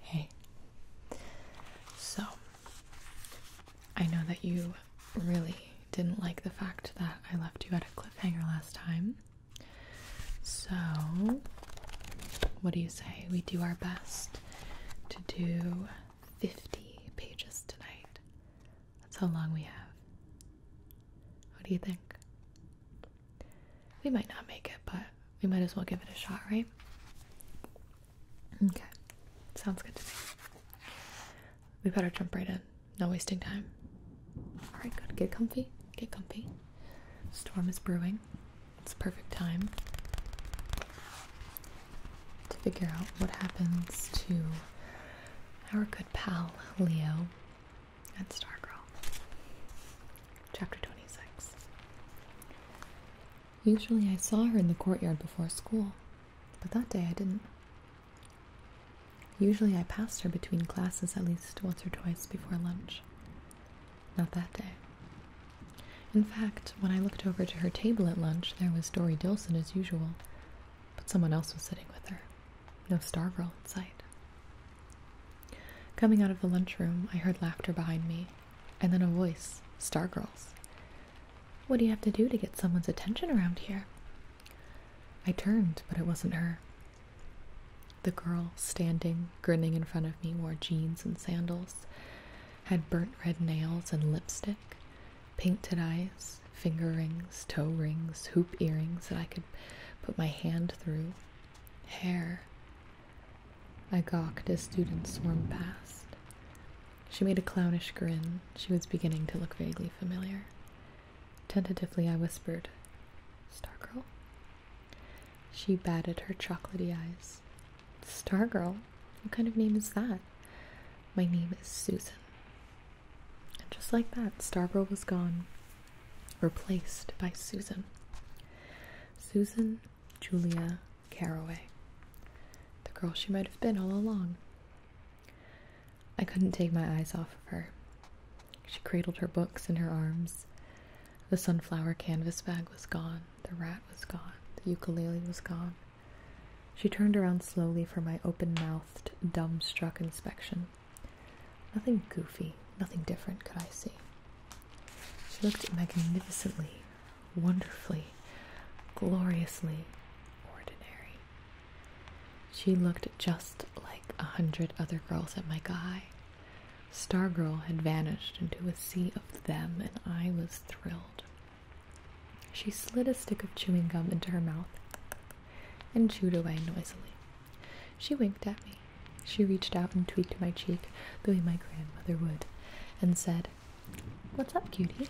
Hey. So, I know that you really didn't like the fact that I left you at a cliffhanger last time. So, what do you say? We do our best to do 50 pages tonight. That's how long we have. What do you think? we might not make it, but we might as well give it a shot, right? Okay, sounds good to me. We better jump right in. No wasting time. All right, good. Get comfy. Get comfy. Storm is brewing. It's perfect time to figure out what happens to our good pal Leo and Star Girl. Chapter 26 Usually I saw her in the courtyard before school, but that day I didn't. Usually I passed her between classes at least once or twice before lunch. Not that day. In fact, when I looked over to her table at lunch, there was Dory Dilson as usual, but someone else was sitting with her. No Stargirl in sight. Coming out of the lunchroom, I heard laughter behind me, and then a voice, Stargirl's. What do you have to do to get someone's attention around here? I turned, but it wasn't her. The girl, standing, grinning in front of me, wore jeans and sandals, had burnt red nails and lipstick, painted eyes, finger rings, toe rings, hoop earrings that I could put my hand through, hair, I gawked as students swarmed past. She made a clownish grin. She was beginning to look vaguely familiar. Tentatively, I whispered, Stargirl? She batted her chocolaty eyes. Stargirl? What kind of name is that? My name is Susan. And just like that, Stargirl was gone replaced by Susan. Susan Julia Caraway, the girl she might have been all along. I couldn't take my eyes off of her. She cradled her books in her arms. The sunflower canvas bag was gone, the rat was gone, the ukulele was gone. She turned around slowly for my open mouthed, dumbstruck inspection. Nothing goofy, nothing different could I see. She looked magnificently, wonderfully, gloriously ordinary. She looked just like a hundred other girls at my guy. Stargirl had vanished into a sea of them, and I was thrilled. She slid a stick of chewing gum into her mouth and chewed away noisily. She winked at me. She reached out and tweaked my cheek the way my grandmother would and said, What's up, cutie?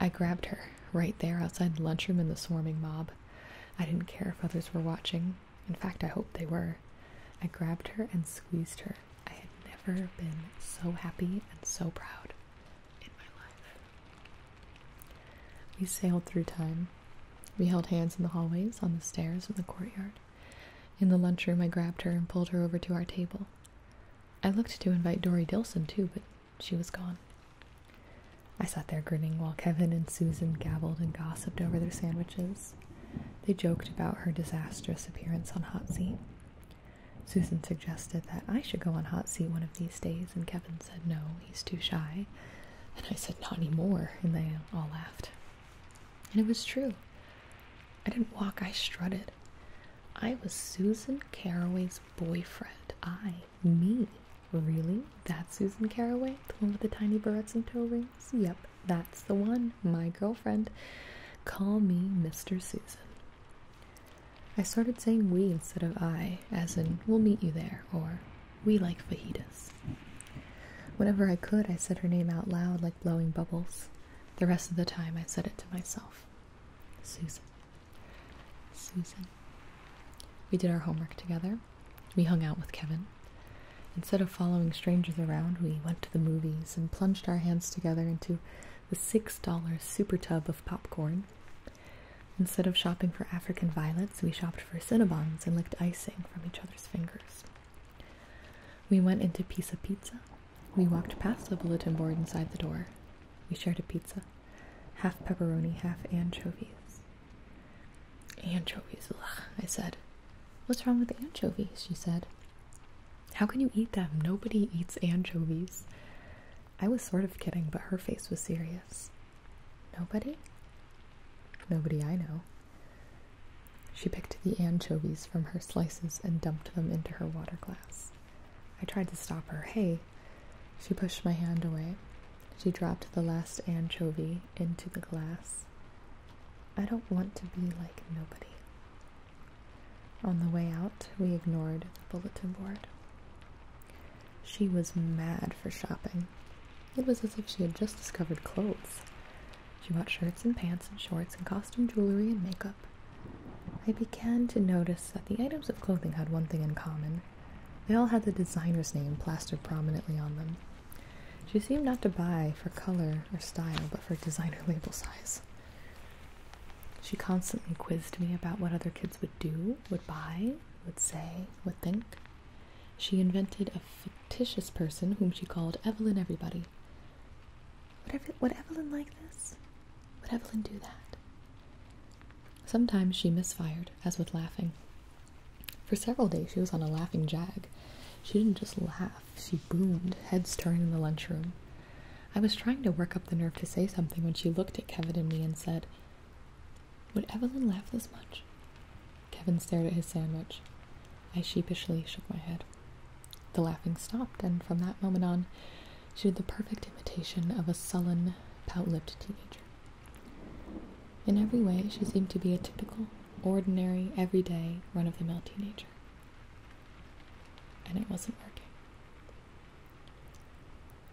I grabbed her right there outside the lunchroom in the swarming mob. I didn't care if others were watching. In fact, I hoped they were. I grabbed her and squeezed her. I had never been so happy and so proud in my life. We sailed through time. We held hands in the hallways, on the stairs, in the courtyard. In the lunchroom, I grabbed her and pulled her over to our table. I looked to invite Dory Dilson too, but she was gone. I sat there grinning while Kevin and Susan gabbled and gossiped over their sandwiches. They joked about her disastrous appearance on Hot Seat. Susan suggested that I should go on Hot Seat one of these days, and Kevin said no, he's too shy. And I said, not anymore, and they all laughed. And it was true. I didn't walk, I strutted. I was Susan Caraway's boyfriend. I, me. Really? That's Susan Caraway? The one with the tiny berets and toe rings? Yep, that's the one, my girlfriend. Call me Mr. Susan. I started saying we instead of I, as in, we'll meet you there, or we like fajitas. Whenever I could, I said her name out loud like blowing bubbles. The rest of the time, I said it to myself Susan. Susan. We did our homework together. We hung out with Kevin. Instead of following strangers around, we went to the movies and plunged our hands together into the $6 super tub of popcorn. Instead of shopping for African violets, we shopped for Cinnabons and licked icing from each other's fingers. We went into Pizza Pizza. We walked past the bulletin board inside the door. We shared a pizza. Half pepperoni, half anchovies. Anchovies, I said. What's wrong with anchovies? She said. How can you eat them? Nobody eats anchovies. I was sort of kidding, but her face was serious. Nobody? Nobody I know. She picked the anchovies from her slices and dumped them into her water glass. I tried to stop her. Hey! She pushed my hand away. She dropped the last anchovy into the glass. I don't want to be like nobody. On the way out, we ignored the bulletin board. She was mad for shopping. It was as if she had just discovered clothes. She bought shirts and pants and shorts and costume jewelry and makeup. I began to notice that the items of clothing had one thing in common. They all had the designer's name plastered prominently on them. She seemed not to buy for color or style, but for designer label size. She constantly quizzed me about what other kids would do, would buy, would say, would think. She invented a fictitious person whom she called Evelyn Everybody. Would, would Evelyn like this? Would Evelyn do that? Sometimes she misfired, as with laughing. For several days, she was on a laughing jag. She didn't just laugh, she boomed, heads turned in the lunchroom. I was trying to work up the nerve to say something when she looked at Kevin and me and said, Would Evelyn laugh this much? Kevin stared at his sandwich. I sheepishly shook my head. The laughing stopped, and from that moment on, she did the perfect imitation of a sullen, pout lipped teenager. In every way, she seemed to be a typical, ordinary, everyday, run of the mill teenager. And it wasn't working.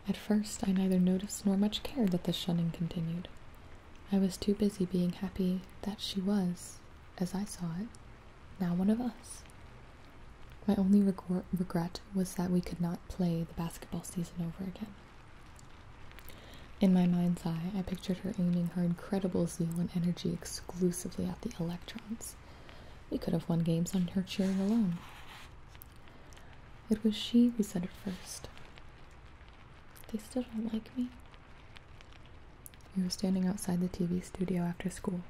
At first, I neither noticed nor much cared that the shunning continued. I was too busy being happy that she was, as I saw it, now one of us. My only regret was that we could not play the basketball season over again. In my mind's eye, I pictured her aiming her incredible zeal and energy exclusively at the electrons. We could have won games on her cheering alone. It was she who said it first. They still don't like me. We were standing outside the TV studio after school.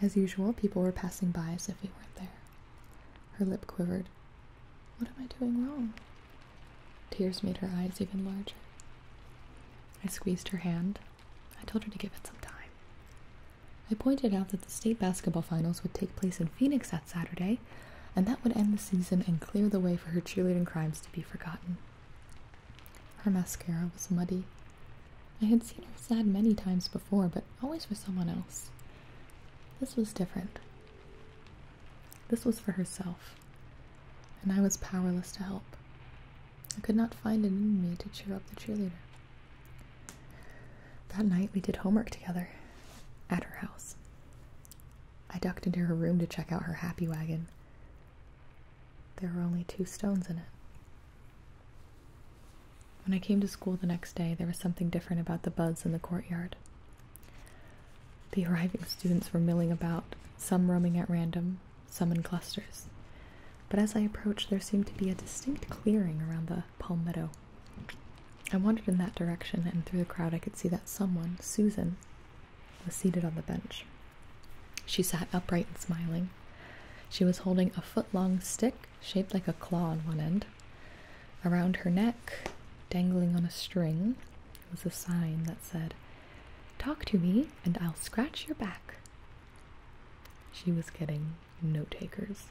As usual, people were passing by as if we weren't there. Her lip quivered. What am I doing wrong? Tears made her eyes even larger. I squeezed her hand. I told her to give it some time. I pointed out that the state basketball finals would take place in Phoenix that Saturday, and that would end the season and clear the way for her cheerleading crimes to be forgotten. Her mascara was muddy. I had seen her sad many times before, but always for someone else. This was different. This was for herself, and I was powerless to help. I could not find it in me to cheer up the cheerleader. That night we did homework together at her house. I ducked into her room to check out her happy wagon. There were only two stones in it. When I came to school the next day, there was something different about the buds in the courtyard. The arriving students were milling about, some roaming at random, some in clusters. But as I approached, there seemed to be a distinct clearing around the palmetto. I wandered in that direction, and through the crowd, I could see that someone, Susan, was seated on the bench. She sat upright and smiling. She was holding a foot long stick shaped like a claw on one end. Around her neck, dangling on a string, was a sign that said, Talk to me and I'll scratch your back. She was getting no takers.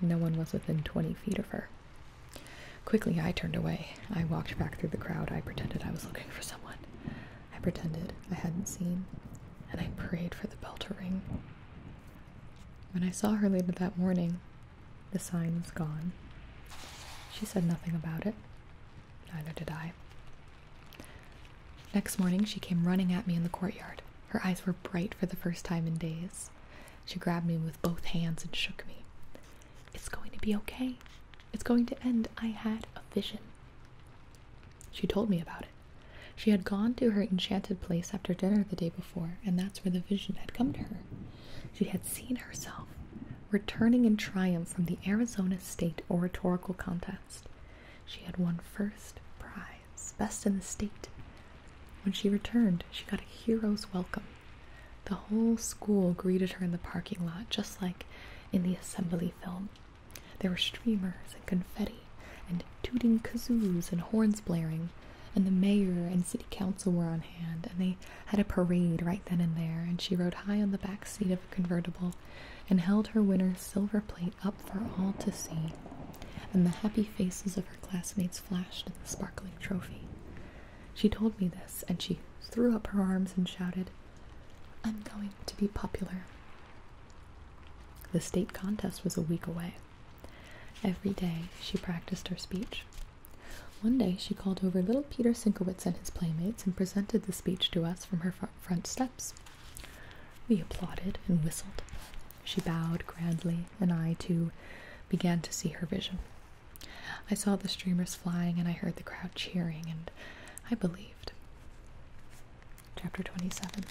No one was within 20 feet of her. Quickly, I turned away. I walked back through the crowd. I pretended I was looking for someone. I pretended I hadn't seen, and I prayed for the bell to ring. When I saw her later that morning, the sign was gone. She said nothing about it. Neither did I. Next morning, she came running at me in the courtyard. Her eyes were bright for the first time in days. She grabbed me with both hands and shook me. It's going to be okay. It's going to end. I had a vision. She told me about it. She had gone to her enchanted place after dinner the day before, and that's where the vision had come to her. She had seen herself returning in triumph from the Arizona State Oratorical Contest. She had won first prize, best in the state. When she returned, she got a hero's welcome. The whole school greeted her in the parking lot, just like in the assembly film. There were streamers and confetti, and tooting kazooes and horns blaring, and the mayor and city council were on hand, and they had a parade right then and there, and she rode high on the back seat of a convertible and held her winner's silver plate up for all to see, and the happy faces of her classmates flashed at the sparkling trophy. She told me this, and she threw up her arms and shouted, I'm going to be popular. The state contest was a week away. Every day she practiced her speech. One day she called over little Peter Sinkowitz and his playmates and presented the speech to us from her front steps. We applauded and whistled. She bowed grandly, and I, too, began to see her vision. I saw the streamers flying and I heard the crowd cheering, and I believed. Chapter 27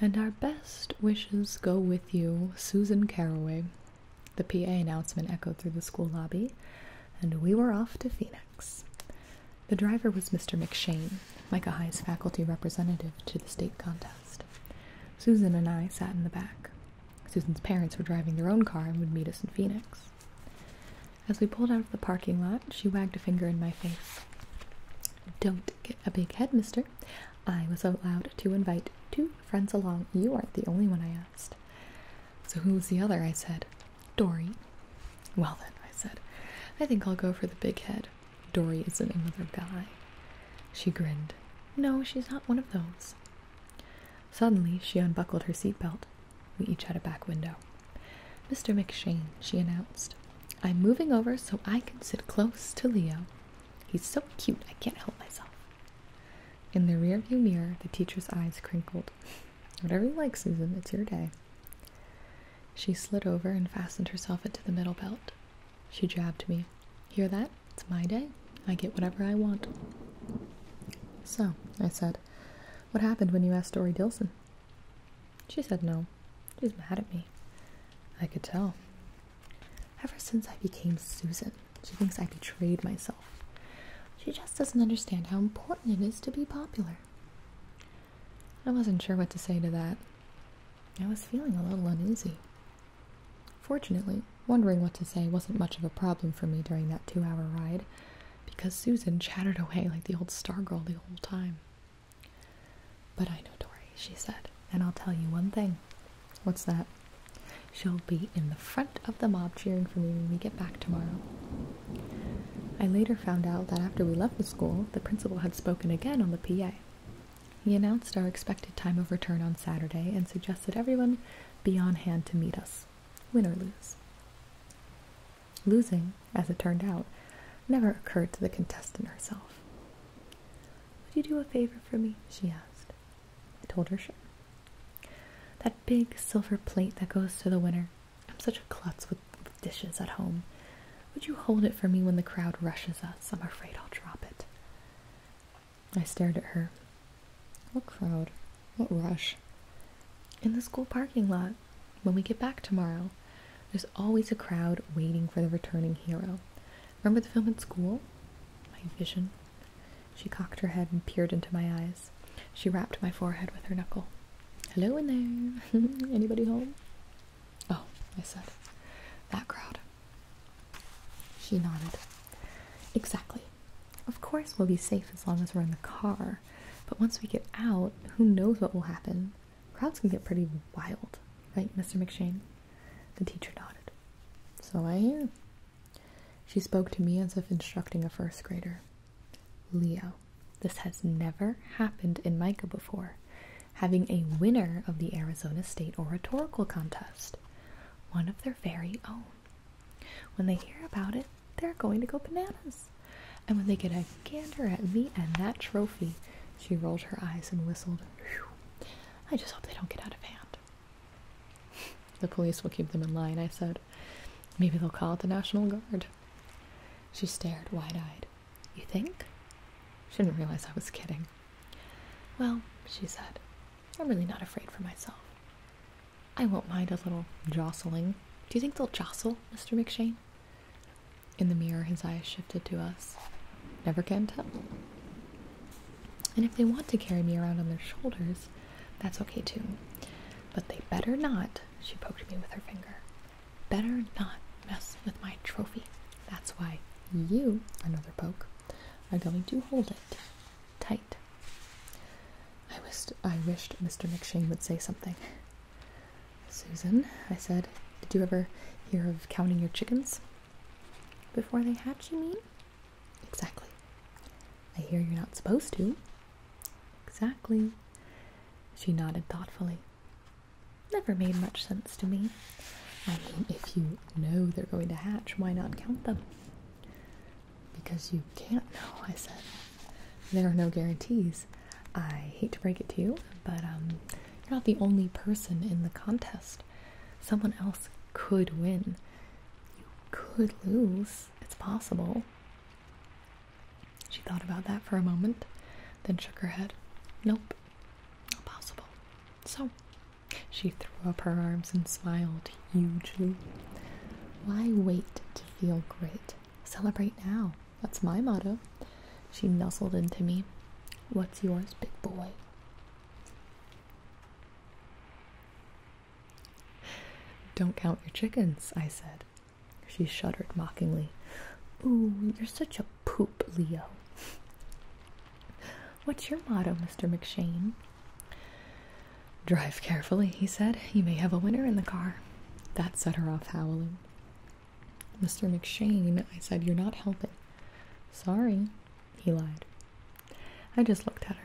And our best wishes go with you, Susan Caraway. The PA announcement echoed through the school lobby, and we were off to Phoenix. The driver was Mr. McShane, Micah High's faculty representative to the state contest. Susan and I sat in the back. Susan's parents were driving their own car and would meet us in Phoenix. As we pulled out of the parking lot, she wagged a finger in my face. Don't get a big head, mister. I was allowed to invite two friends along. You aren't the only one, I asked. So who's the other? I said. Dory. Well then, I said, I think I'll go for the big head. Dory isn't another guy. She grinned. No, she's not one of those. Suddenly, she unbuckled her seatbelt. We each had a back window. Mr. McShane, she announced. I'm moving over so I can sit close to Leo. He's so cute, I can't help myself. In the rearview mirror, the teacher's eyes crinkled. Whatever you like, Susan, it's your day. She slid over and fastened herself into the middle belt. She jabbed me. Hear that? It's my day. I get whatever I want. So, I said, What happened when you asked Dory Dilson? She said no. She's mad at me. I could tell. Ever since I became Susan, she thinks I betrayed myself. She just doesn't understand how important it is to be popular. I wasn't sure what to say to that. I was feeling a little uneasy. Fortunately, wondering what to say wasn't much of a problem for me during that two hour ride because Susan chattered away like the old stargirl the whole time. But I know Dory, she said, and I'll tell you one thing. What's that? She'll be in the front of the mob cheering for me when we get back tomorrow. I later found out that after we left the school, the principal had spoken again on the PA. He announced our expected time of return on Saturday and suggested everyone be on hand to meet us win or lose. Losing, as it turned out, never occurred to the contestant herself. Would you do a favor for me? she asked. I told her, sure. That big silver plate that goes to the winner. I'm such a klutz with, with dishes at home. Would you hold it for me when the crowd rushes us? I'm afraid I'll drop it. I stared at her. What crowd? What rush? In the school parking lot, when we get back tomorrow, there's always a crowd waiting for the returning hero. Remember the film at school? My vision. She cocked her head and peered into my eyes. She rapped my forehead with her knuckle. Hello in there. Anybody home? Oh, I said. That crowd. She nodded. Exactly. Of course, we'll be safe as long as we're in the car, but once we get out, who knows what will happen? Crowds can get pretty wild, right, Mr. McShane? The teacher nodded. So I She spoke to me as if instructing a first grader. Leo, this has never happened in Micah before. Having a winner of the Arizona State Oratorical Contest, one of their very own. When they hear about it, they're going to go bananas. And when they get a gander at me and that trophy, she rolled her eyes and whistled. I just hope they don't get out of hand. The police will keep them in line, I said. Maybe they'll call it the National Guard. She stared wide eyed. You think? She didn't realize I was kidding. Well, she said, I'm really not afraid for myself. I won't mind a little jostling. Do you think they'll jostle, Mr. McShane? In the mirror, his eyes shifted to us. Never can tell. And if they want to carry me around on their shoulders, that's okay too. But they better not, she poked me with her finger, better not mess with my trophy. That's why you, another poke, are going to hold it tight I wished, I wished Mr. McShane would say something. Susan, I said, did you ever hear of counting your chickens? Before they hatch, you mean? Exactly. I hear you're not supposed to. Exactly. She nodded thoughtfully. Never made much sense to me. I mean, if you know they're going to hatch, why not count them? because you can't know. I said, There are no guarantees. I hate to break it to you, but um, you're not the only person in the contest. Someone else could win. You could lose. It's possible. She thought about that for a moment, then shook her head. Nope, not possible. So, she threw up her arms and smiled hugely. Why wait to feel great? Celebrate now. That's my motto. She nestled into me. What's yours, big boy? Don't count your chickens, I said. She shuddered mockingly. Ooh, you're such a poop, Leo. What's your motto, Mr. McShane? Drive carefully, he said. You may have a winner in the car. That set her off howling. Mr. McShane, I said, you're not helping. Sorry, he lied. I just looked at her.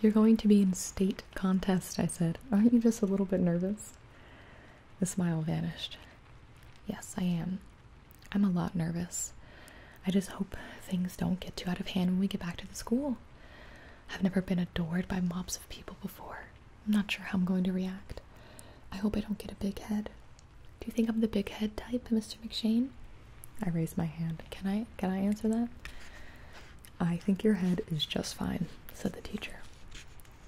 You're going to be in state contest, I said. Aren't you just a little bit nervous? The smile vanished. Yes, I am. I'm a lot nervous. I just hope things don't get too out of hand when we get back to the school. I've never been adored by mobs of people before. I'm not sure how I'm going to react. I hope I don't get a big head. Do you think I'm the big head type, Mr. McShane? I raised my hand. Can I can I answer that? I think your head is just fine, said the teacher.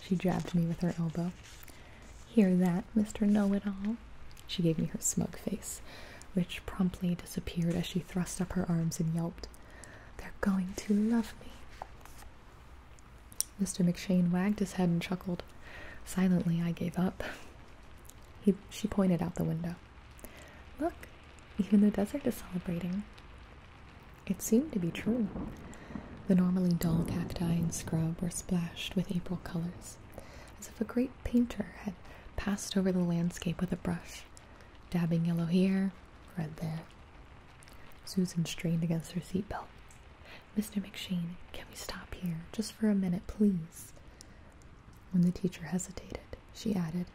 She jabbed me with her elbow. Hear that, Mr. Know It All? She gave me her smug face which promptly disappeared as she thrust up her arms and yelped, They're going to love me. Mr. McShane wagged his head and chuckled. Silently, I gave up. He, she pointed out the window. Look, even the desert is celebrating. It seemed to be true. The normally dull cacti and scrub were splashed with April colors, as if a great painter had passed over the landscape with a brush. Dabbing yellow here, red there. Susan strained against her seatbelt. Mr. McShane, can we stop here just for a minute, please? When the teacher hesitated, she added,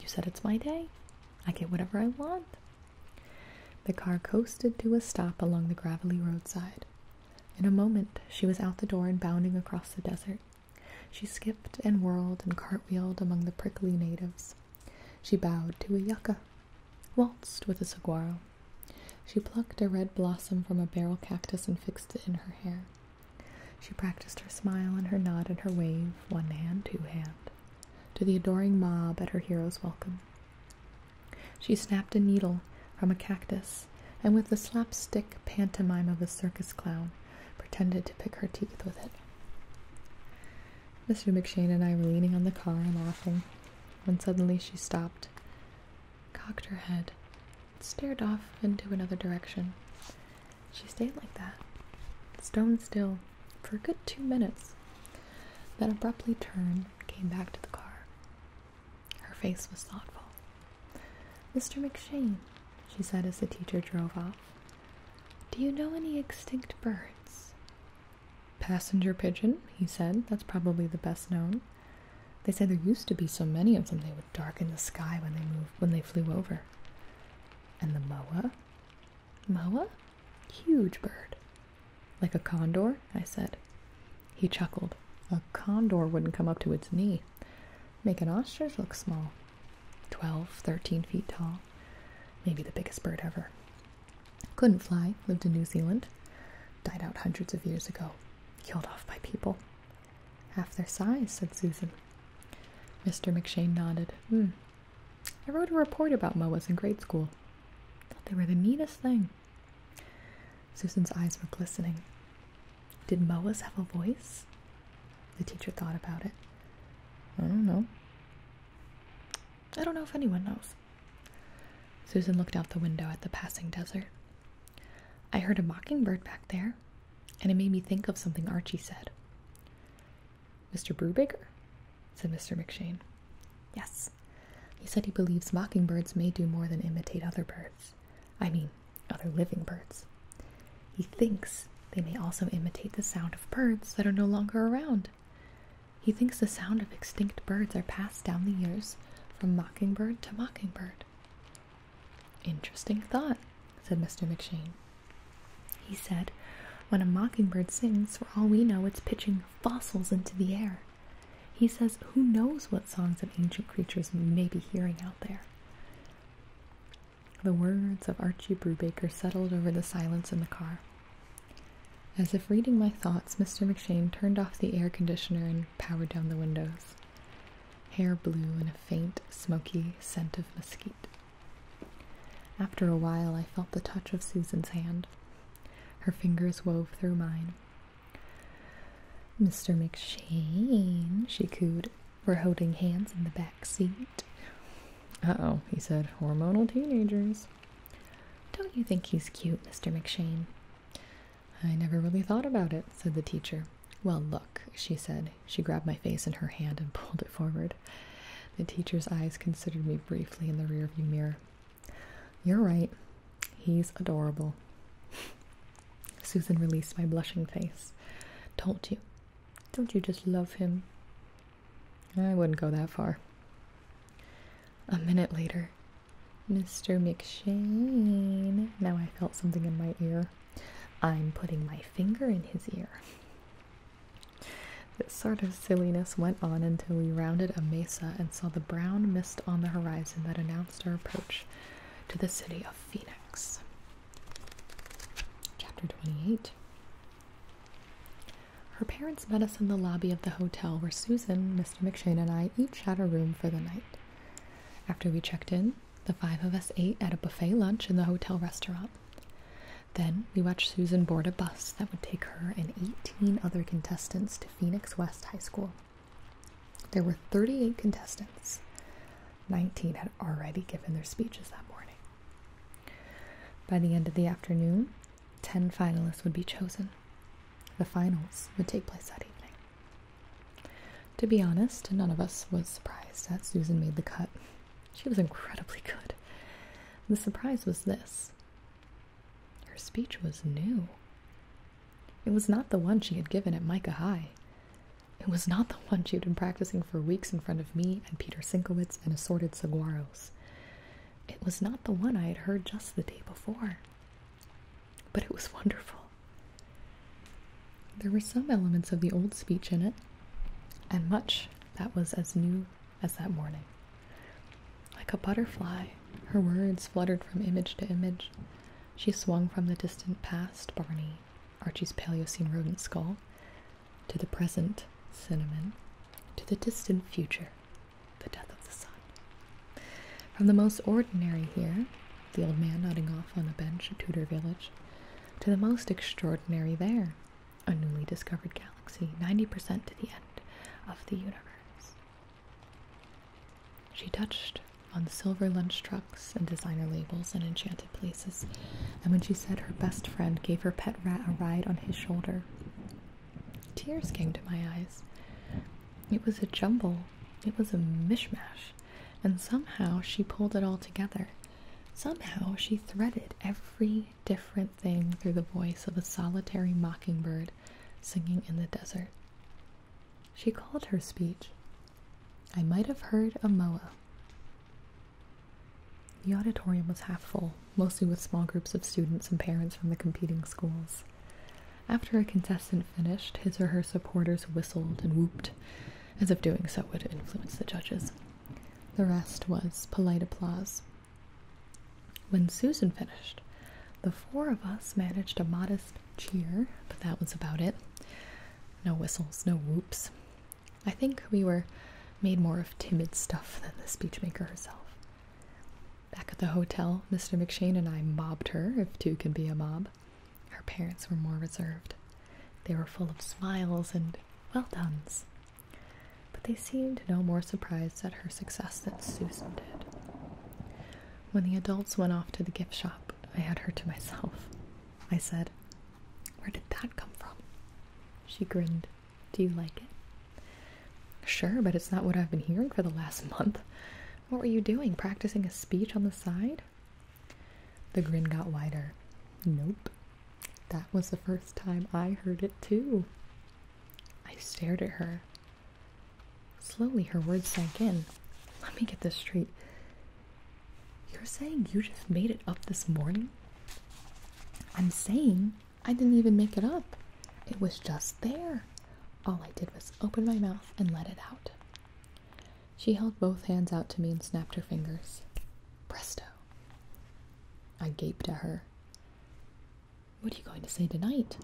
You said it's my day. I get whatever I want. The car coasted to a stop along the gravelly roadside. In a moment, she was out the door and bounding across the desert. She skipped and whirled and cartwheeled among the prickly natives. She bowed to a yucca, waltzed with a saguaro. She plucked a red blossom from a barrel cactus and fixed it in her hair. She practiced her smile and her nod and her wave, one hand, two hand, to the adoring mob at her hero's welcome. She snapped a needle from a cactus and with the slapstick pantomime of a circus clown pretended to pick her teeth with it. Mr. McShane and I were leaning on the car and laughing, when suddenly she stopped, cocked her head, stared off into another direction. She stayed like that, stone still, for a good two minutes, then abruptly turned and came back to the car. Her face was thoughtful. Mr. McShane, she said as the teacher drove off, do you know any extinct birds? Passenger pigeon, he said. That's probably the best known. They say there used to be so many of them they would darken the sky when they moved when they flew over. And the moa? Moa? Huge bird. Like a condor, I said. He chuckled. A condor wouldn't come up to its knee. Make an ostrich look small. Twelve, thirteen feet tall, maybe the biggest bird ever. Couldn't fly, lived in New Zealand, died out hundreds of years ago, killed off by people. Half their size, said Susan. Mr. McShane nodded. Hmm. I wrote a report about moas in grade school. Thought they were the neatest thing. Susan's eyes were glistening. Did MOAs have a voice? The teacher thought about it. I don't know. I don't know if anyone knows. Susan looked out the window at the passing desert. I heard a mockingbird back there, and it made me think of something Archie said. Mr. Brewbaker said Mr. McShane. Yes. He said he believes mockingbirds may do more than imitate other birds. I mean, other living birds. He thinks they may also imitate the sound of birds that are no longer around. He thinks the sound of extinct birds are passed down the years from mockingbird to mockingbird. Interesting thought, said Mr. McShane. He said, When a mockingbird sings, for all we know, it's pitching fossils into the air. He says, Who knows what songs of ancient creatures we may be hearing out there? The words of Archie Brubaker settled over the silence in the car. As if reading my thoughts, Mr. McShane turned off the air conditioner and powered down the windows. Hair blew in a faint, smoky scent of mesquite. After a while, I felt the touch of Susan's hand. Her fingers wove through mine. Mr. McShane, she cooed, were holding hands in the back seat. Uh oh, he said, hormonal teenagers. Don't you think he's cute, Mr. McShane? I never really thought about it, said the teacher. Well, look, she said. She grabbed my face in her hand and pulled it forward. The teacher's eyes considered me briefly in the rearview mirror. You're right. He's adorable. Susan released my blushing face. Don't you? Don't you just love him? I wouldn't go that far. A minute later, Mr. McShane. Now I felt something in my ear. I'm putting my finger in his ear. This sort of silliness went on until we rounded a mesa and saw the brown mist on the horizon that announced our approach to the city of Phoenix. Chapter 28 Her parents met us in the lobby of the hotel where Susan, Mr. McShane, and I each had a room for the night. After we checked in, the five of us ate at a buffet lunch in the hotel restaurant. Then we watched Susan board a bus that would take her and 18 other contestants to Phoenix West High School. There were 38 contestants. 19 had already given their speeches that morning. By the end of the afternoon, 10 finalists would be chosen. The finals would take place that evening. To be honest, none of us was surprised that Susan made the cut. She was incredibly good. The surprise was this her speech was new. It was not the one she had given at Micah High. It was not the one she'd been practicing for weeks in front of me and Peter Sinkowitz and assorted saguaros. It was not the one I had heard just the day before. But it was wonderful. There were some elements of the old speech in it, and much that was as new as that morning. Like a butterfly, her words fluttered from image to image. She swung from the distant past Barney Archie's Paleocene rodent skull, to the present cinnamon, to the distant future, the death of the sun. From the most ordinary here, the old man nodding off on a bench at Tudor Village, to the most extraordinary there, a newly discovered galaxy, 90% to the end of the universe. She touched on silver lunch trucks and designer labels and enchanted places, and when she said her best friend gave her pet rat a ride on his shoulder, tears came to my eyes. It was a jumble, it was a mishmash, and somehow she pulled it all together. Somehow she threaded every different thing through the voice of a solitary mockingbird singing in the desert. She called her speech I might have heard a moa. The auditorium was half full, mostly with small groups of students and parents from the competing schools. After a contestant finished, his or her supporters whistled and whooped, as if doing so would influence the judges. The rest was polite applause. When Susan finished, the four of us managed a modest cheer, but that was about it. No whistles, no whoops. I think we were made more of timid stuff than the speechmaker herself. Back at the hotel, Mr. McShane and I mobbed her, if two can be a mob. Her parents were more reserved. They were full of smiles and well done's. But they seemed no more surprised at her success than Susan did. When the adults went off to the gift shop, I had her to myself. I said, where did that come from? She grinned. Do you like it? Sure, but it's not what I've been hearing for the last month. What were you doing? Practicing a speech on the side? The grin got wider. Nope. That was the first time I heard it, too. I stared at her. Slowly, her words sank in. Let me get this straight. You're saying you just made it up this morning? I'm saying I didn't even make it up. It was just there. All I did was open my mouth and let it out. She held both hands out to me and snapped her fingers. Presto. I gaped at her. What are you going to say tonight?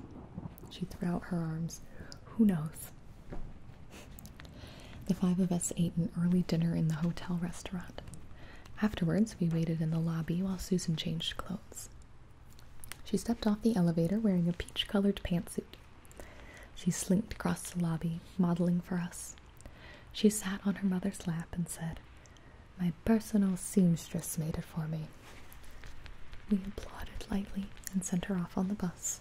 She threw out her arms. Who knows? The five of us ate an early dinner in the hotel restaurant. Afterwards, we waited in the lobby while Susan changed clothes. She stepped off the elevator wearing a peach colored pantsuit. She slinked across the lobby, modeling for us. She sat on her mother's lap and said, My personal seamstress made it for me. We applauded lightly and sent her off on the bus.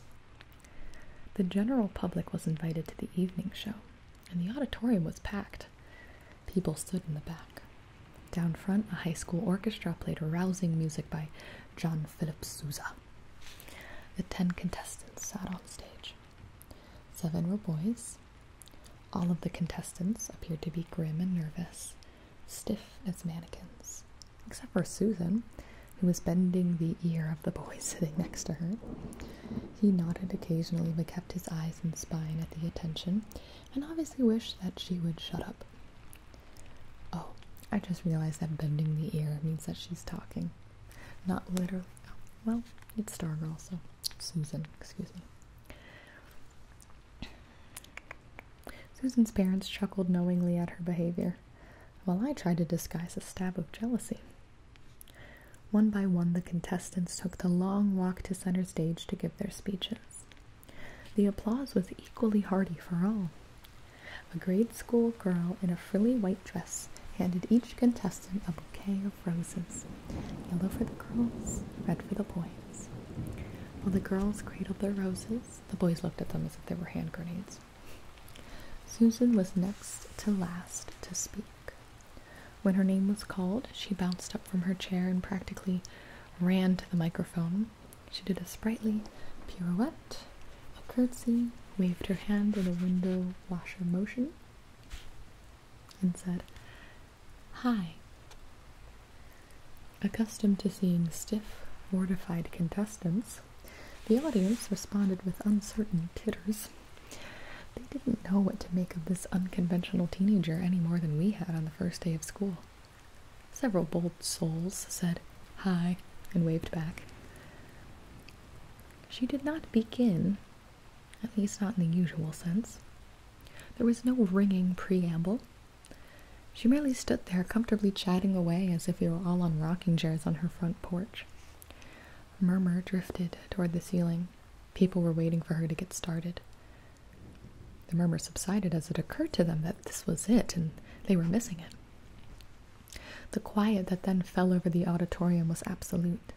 The general public was invited to the evening show, and the auditorium was packed. People stood in the back. Down front, a high school orchestra played rousing music by John Philip Sousa. The ten contestants sat on stage. Seven were boys. All of the contestants appeared to be grim and nervous, stiff as mannequins, except for Susan, who was bending the ear of the boy sitting next to her. He nodded occasionally but kept his eyes and spine at the attention, and obviously wished that she would shut up. Oh, I just realized that bending the ear means that she's talking. Not literally. Oh, well, it's Star Girl, so Susan, excuse me. Susan's parents chuckled knowingly at her behavior, while I tried to disguise a stab of jealousy. One by one, the contestants took the long walk to center stage to give their speeches. The applause was equally hearty for all. A grade school girl in a frilly white dress handed each contestant a bouquet of roses yellow for the girls, red for the boys. While the girls cradled their roses, the boys looked at them as if they were hand grenades. Susan was next to last to speak. When her name was called, she bounced up from her chair and practically ran to the microphone. She did a sprightly pirouette, a curtsy, waved her hand in a window washer motion, and said, Hi. Accustomed to seeing stiff, mortified contestants, the audience responded with uncertain titters. They didn't know what to make of this unconventional teenager any more than we had on the first day of school. Several bold souls said hi and waved back. She did not begin, at least not in the usual sense. There was no ringing preamble. She merely stood there comfortably chatting away as if we were all on rocking chairs on her front porch murmur drifted toward the ceiling. People were waiting for her to get started. The murmur subsided as it occurred to them that this was it and they were missing it. The quiet that then fell over the auditorium was absolute.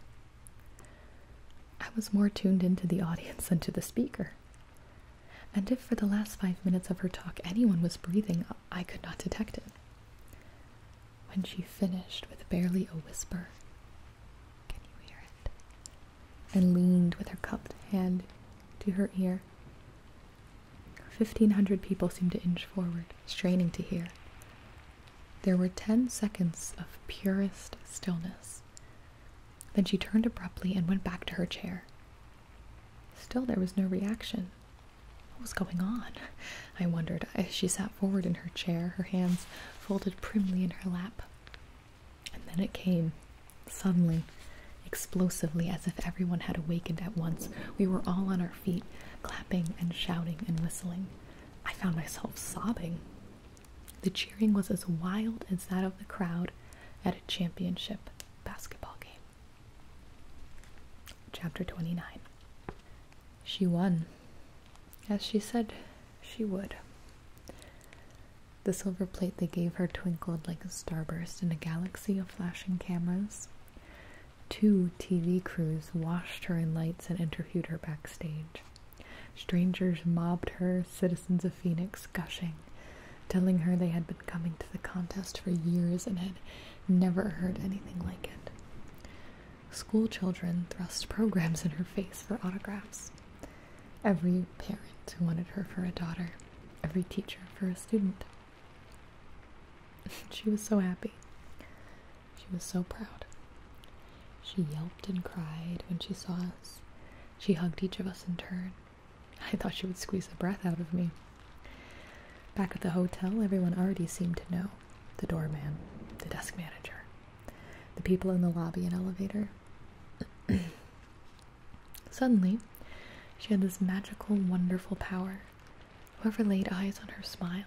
I was more tuned into the audience than to the speaker. And if for the last five minutes of her talk anyone was breathing, I could not detect it when she finished with barely a whisper, Can you hear it? and leaned with her cupped hand to her ear. Fifteen hundred people seemed to inch forward, straining to hear. There were ten seconds of purest stillness. Then she turned abruptly and went back to her chair. Still, there was no reaction, what was going on? I wondered as she sat forward in her chair, her hands folded primly in her lap. And then it came, suddenly, explosively, as if everyone had awakened at once. We were all on our feet, clapping and shouting and whistling. I found myself sobbing. The cheering was as wild as that of the crowd at a championship basketball game. Chapter 29 she won, as she said she would. The silver plate they gave her twinkled like a starburst in a galaxy of flashing cameras. Two TV crews washed her in lights and interviewed her backstage. Strangers mobbed her, citizens of Phoenix gushing, telling her they had been coming to the contest for years and had never heard anything like it. School children thrust programs in her face for autographs. Every parent who wanted her for a daughter, every teacher for a student. she was so happy. She was so proud. She yelped and cried when she saw us. She hugged each of us in turn. I thought she would squeeze the breath out of me. Back at the hotel, everyone already seemed to know the doorman, the desk manager, the people in the lobby and elevator. Suddenly, she had this magical, wonderful power. Whoever laid eyes on her smiled,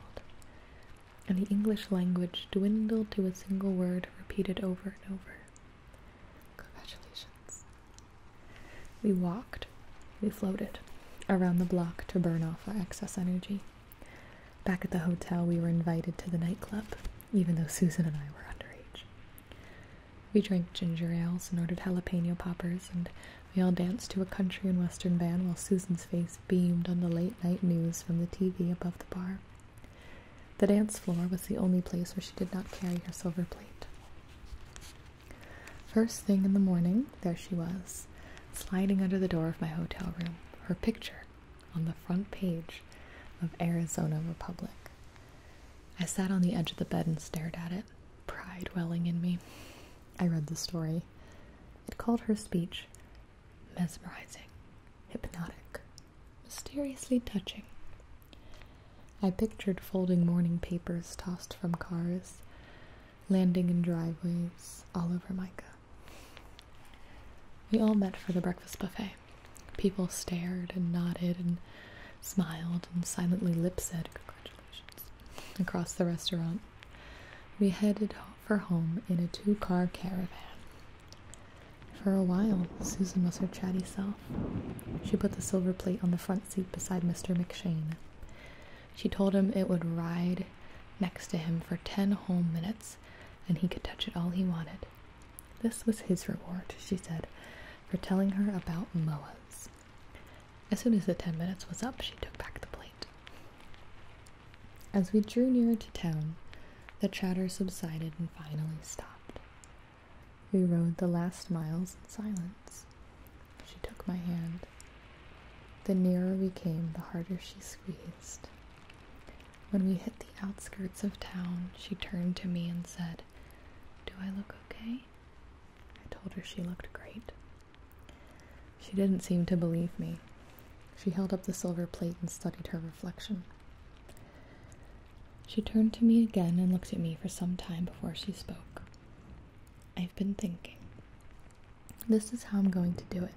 and the English language dwindled to a single word repeated over and over. Congratulations. We walked we floated around the block to burn off our excess energy. Back at the hotel, we were invited to the nightclub, even though Susan and I were underage. We drank ginger ales and ordered jalapeno poppers, and we all danced to a country and western band while Susan's face beamed on the late night news from the TV above the bar. The dance floor was the only place where she did not carry her silver plate. First thing in the morning, there she was, sliding under the door of my hotel room, her picture on the front page of Arizona Republic. I sat on the edge of the bed and stared at it, pride welling in me. I read the story. It called her speech mesmerizing, hypnotic, mysteriously touching. I pictured folding morning papers tossed from cars, landing in driveways all over Micah. We all met for the breakfast buffet. People stared and nodded and smiled and silently lip said congratulations across the restaurant. We headed for home in a two car caravan. For a while, Susan was her chatty self. She put the silver plate on the front seat beside Mr. McShane. She told him it would ride next to him for ten whole minutes and he could touch it all he wanted. This was his reward, she said, for telling her about Moas. As soon as the ten minutes was up, she took back the plate. As we drew nearer to town, the chatter subsided and finally stopped. We rode the last miles in silence. She took my hand. The nearer we came, the harder she squeezed. When we hit the outskirts of town, she turned to me and said, Do I look okay? I told her she looked great. She didn't seem to believe me. She held up the silver plate and studied her reflection. She turned to me again and looked at me for some time before she spoke. I've been thinking, this is how I'm going to do it.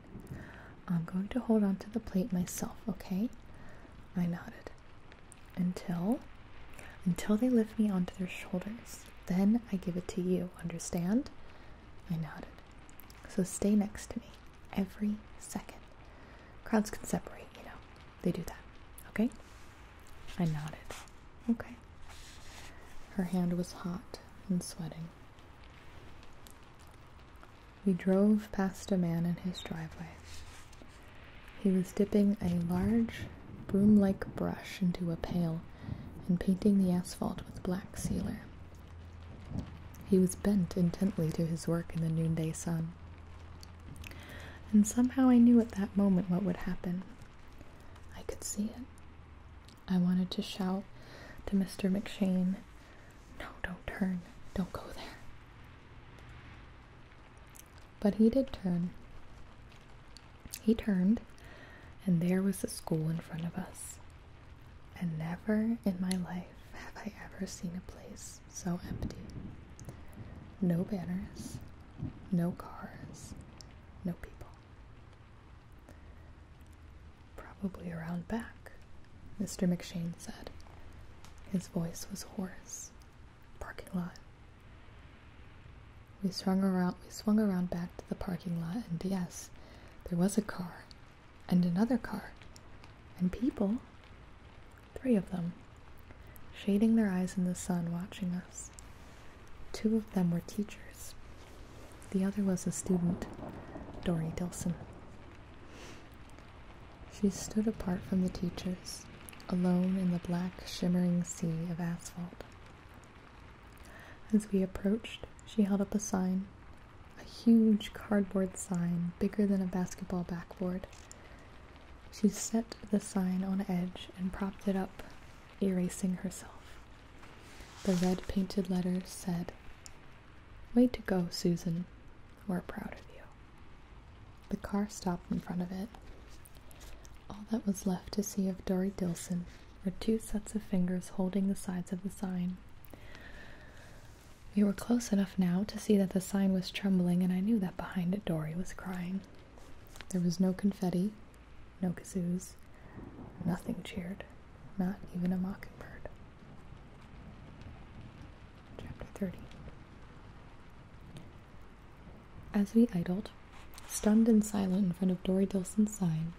I'm going to hold onto the plate myself, okay? I nodded. Until until they lift me onto their shoulders. Then I give it to you, understand? I nodded. So stay next to me every second. Crowds can separate, you know. They do that. Okay? I nodded. Okay. Her hand was hot and sweating. We drove past a man in his driveway. He was dipping a large, broom like brush into a pail and painting the asphalt with black sealer. He was bent intently to his work in the noonday sun. And somehow I knew at that moment what would happen. I could see it. I wanted to shout to Mr. McShane, No, don't turn, don't go there. But he did turn. He turned, and there was the school in front of us. And never in my life have I ever seen a place so empty. No banners, no cars, no people. Probably around back, Mr. McShane said. His voice was hoarse. Parking lot. We swung around we swung around back to the parking lot and yes, there was a car and another car and people three of them shading their eyes in the sun watching us. Two of them were teachers. The other was a student, Dory Dillson. She stood apart from the teachers, alone in the black, shimmering sea of asphalt. As we approached, she held up a sign, a huge cardboard sign bigger than a basketball backboard. She set the sign on edge and propped it up, erasing herself. The red painted letters said, "Wait to go, Susan. We're proud of you. The car stopped in front of it. All that was left to see of Dory Dilson were two sets of fingers holding the sides of the sign. We were close enough now to see that the sign was trembling, and I knew that behind it Dory was crying. There was no confetti, no kazoos, nothing cheered, not even a mockingbird. Chapter 30 As we idled, stunned and silent in front of Dory Dilson's sign,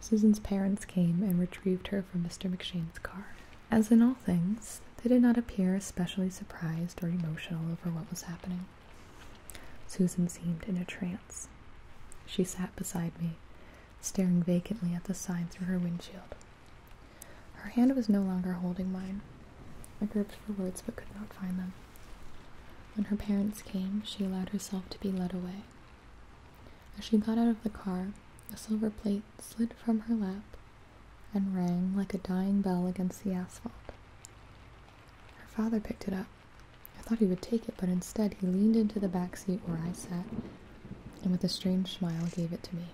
Susan's parents came and retrieved her from Mr. McShane's car. As in all things, they did not appear especially surprised or emotional over what was happening. Susan seemed in a trance she sat beside me, staring vacantly at the sign through her windshield. Her hand was no longer holding mine. I groped for words but could not find them. When her parents came, she allowed herself to be led away. As she got out of the car, a silver plate slid from her lap and rang like a dying bell against the asphalt. Her father picked it up, I thought he would take it, but instead he leaned into the back seat where I sat and with a strange smile gave it to me.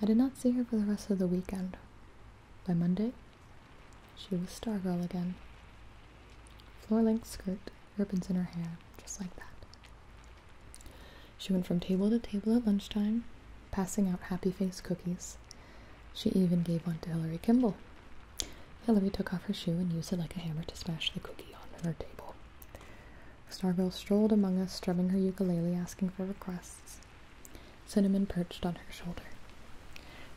I did not see her for the rest of the weekend. By Monday, she was Stargirl again. Floor length skirt, ribbons in her hair, just like that. She went from table to table at lunchtime, passing out happy face cookies. She even gave one to Hillary Kimball, Hillary took off her shoe and used it like a hammer to smash the cookie on her table. Stargirl strolled among us, strumming her ukulele, asking for requests. Cinnamon perched on her shoulder.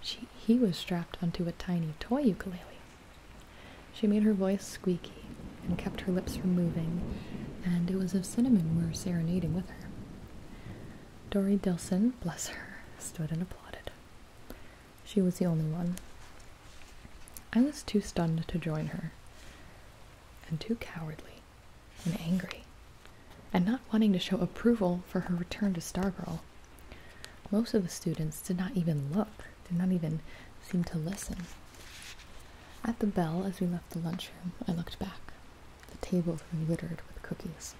She, he was strapped onto a tiny toy ukulele. She made her voice squeaky and kept her lips from moving, and it was if Cinnamon were serenading with her. Dory Dilson, bless her, stood and applauded. She was the only one. I was too stunned to join her, and too cowardly and angry, and not wanting to show approval for her return to Stargirl. Most of the students did not even look, did not even seem to listen. At the bell, as we left the lunchroom, I looked back. The tables were littered with cookies,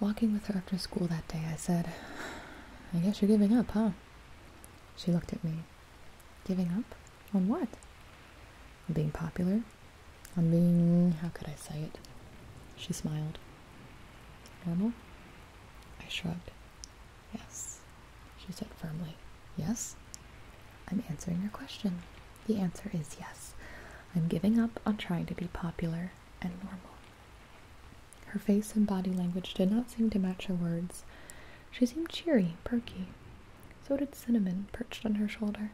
Walking with her after school that day, I said, I guess you're giving up, huh? She looked at me. Giving up? On what? On being popular? On being. how could I say it? She smiled. Normal? I shrugged. Yes, she said firmly. Yes? I'm answering your question. The answer is yes. I'm giving up on trying to be popular and normal. Her face and body language did not seem to match her words. She seemed cheery, perky. So did Cinnamon, perched on her shoulder.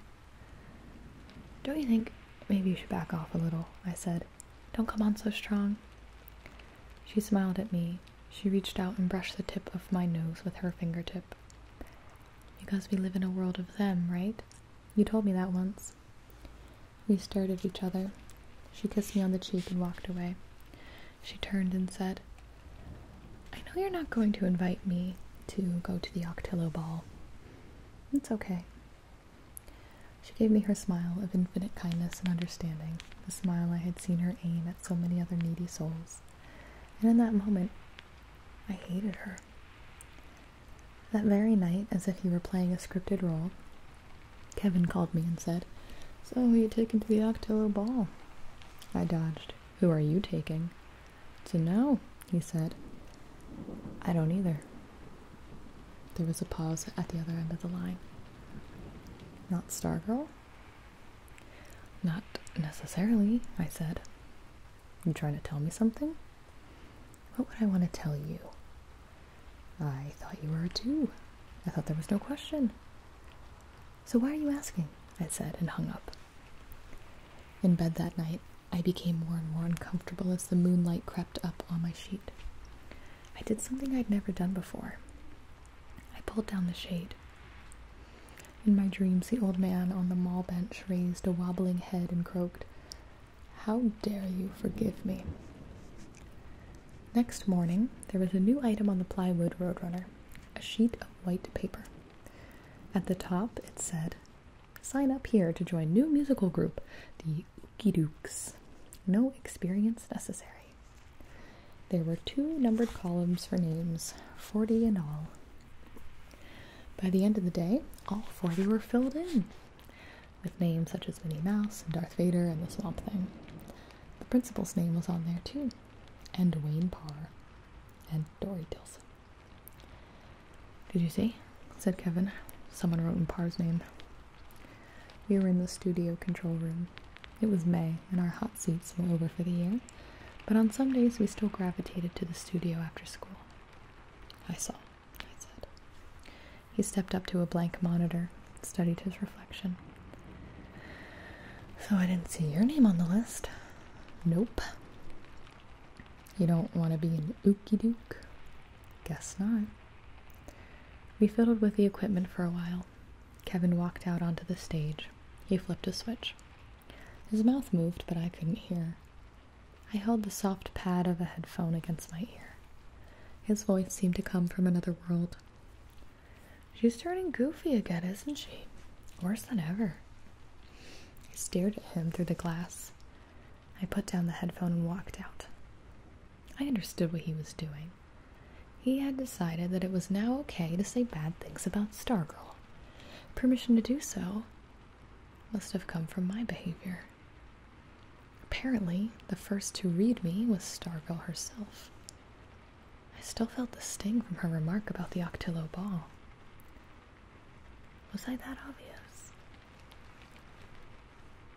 Don't you think maybe you should back off a little? I said. Don't come on so strong. She smiled at me. She reached out and brushed the tip of my nose with her fingertip. Because we live in a world of them, right? You told me that once. We stared at each other. She kissed me on the cheek and walked away. She turned and said, I know you're not going to invite me to go to the Octillo Ball. It's okay. She gave me her smile of infinite kindness and understanding, the smile I had seen her aim at so many other needy souls. And in that moment, I hated her. That very night, as if he were playing a scripted role, Kevin called me and said, So you're taking to the Octillo ball? I dodged. Who are you taking? To know, he said. I don't either. There was a pause at the other end of the line. Not Stargirl? Not necessarily, I said. You trying to tell me something? What would I want to tell you? I thought you were too. I thought there was no question. So why are you asking? I said and hung up. In bed that night, I became more and more uncomfortable as the moonlight crept up on my sheet. I did something I'd never done before. I pulled down the shade. In my dreams, the old man on the mall bench raised a wobbling head and croaked, how dare you forgive me? Next morning, there was a new item on the plywood roadrunner a sheet of white paper. At the top, it said, Sign up here to join new musical group, the Ookidooks. No experience necessary. There were two numbered columns for names, 40 in all. By the end of the day, all 40 were filled in with names such as Minnie Mouse and Darth Vader and the Swamp Thing. The principal's name was on there too, and Wayne Parr and Dory Dilson. Did you see? said Kevin. Someone wrote in Parr's name. We were in the studio control room. It was May, and our hot seats were over for the year, but on some days we still gravitated to the studio after school. I saw, I said. He stepped up to a blank monitor, studied his reflection. So I didn't see your name on the list. Nope. You don't want to be an ookie dook? Guess not. We fiddled with the equipment for a while. Kevin walked out onto the stage. He flipped a switch. His mouth moved, but I couldn't hear. I held the soft pad of a headphone against my ear. His voice seemed to come from another world. She's turning goofy again, isn't she? Worse than ever. I stared at him through the glass. I put down the headphone and walked out. I understood what he was doing. He had decided that it was now okay to say bad things about Stargirl. Permission to do so must have come from my behavior. Apparently, the first to read me was Starvel herself. I still felt the sting from her remark about the Octillo ball. Was I that obvious?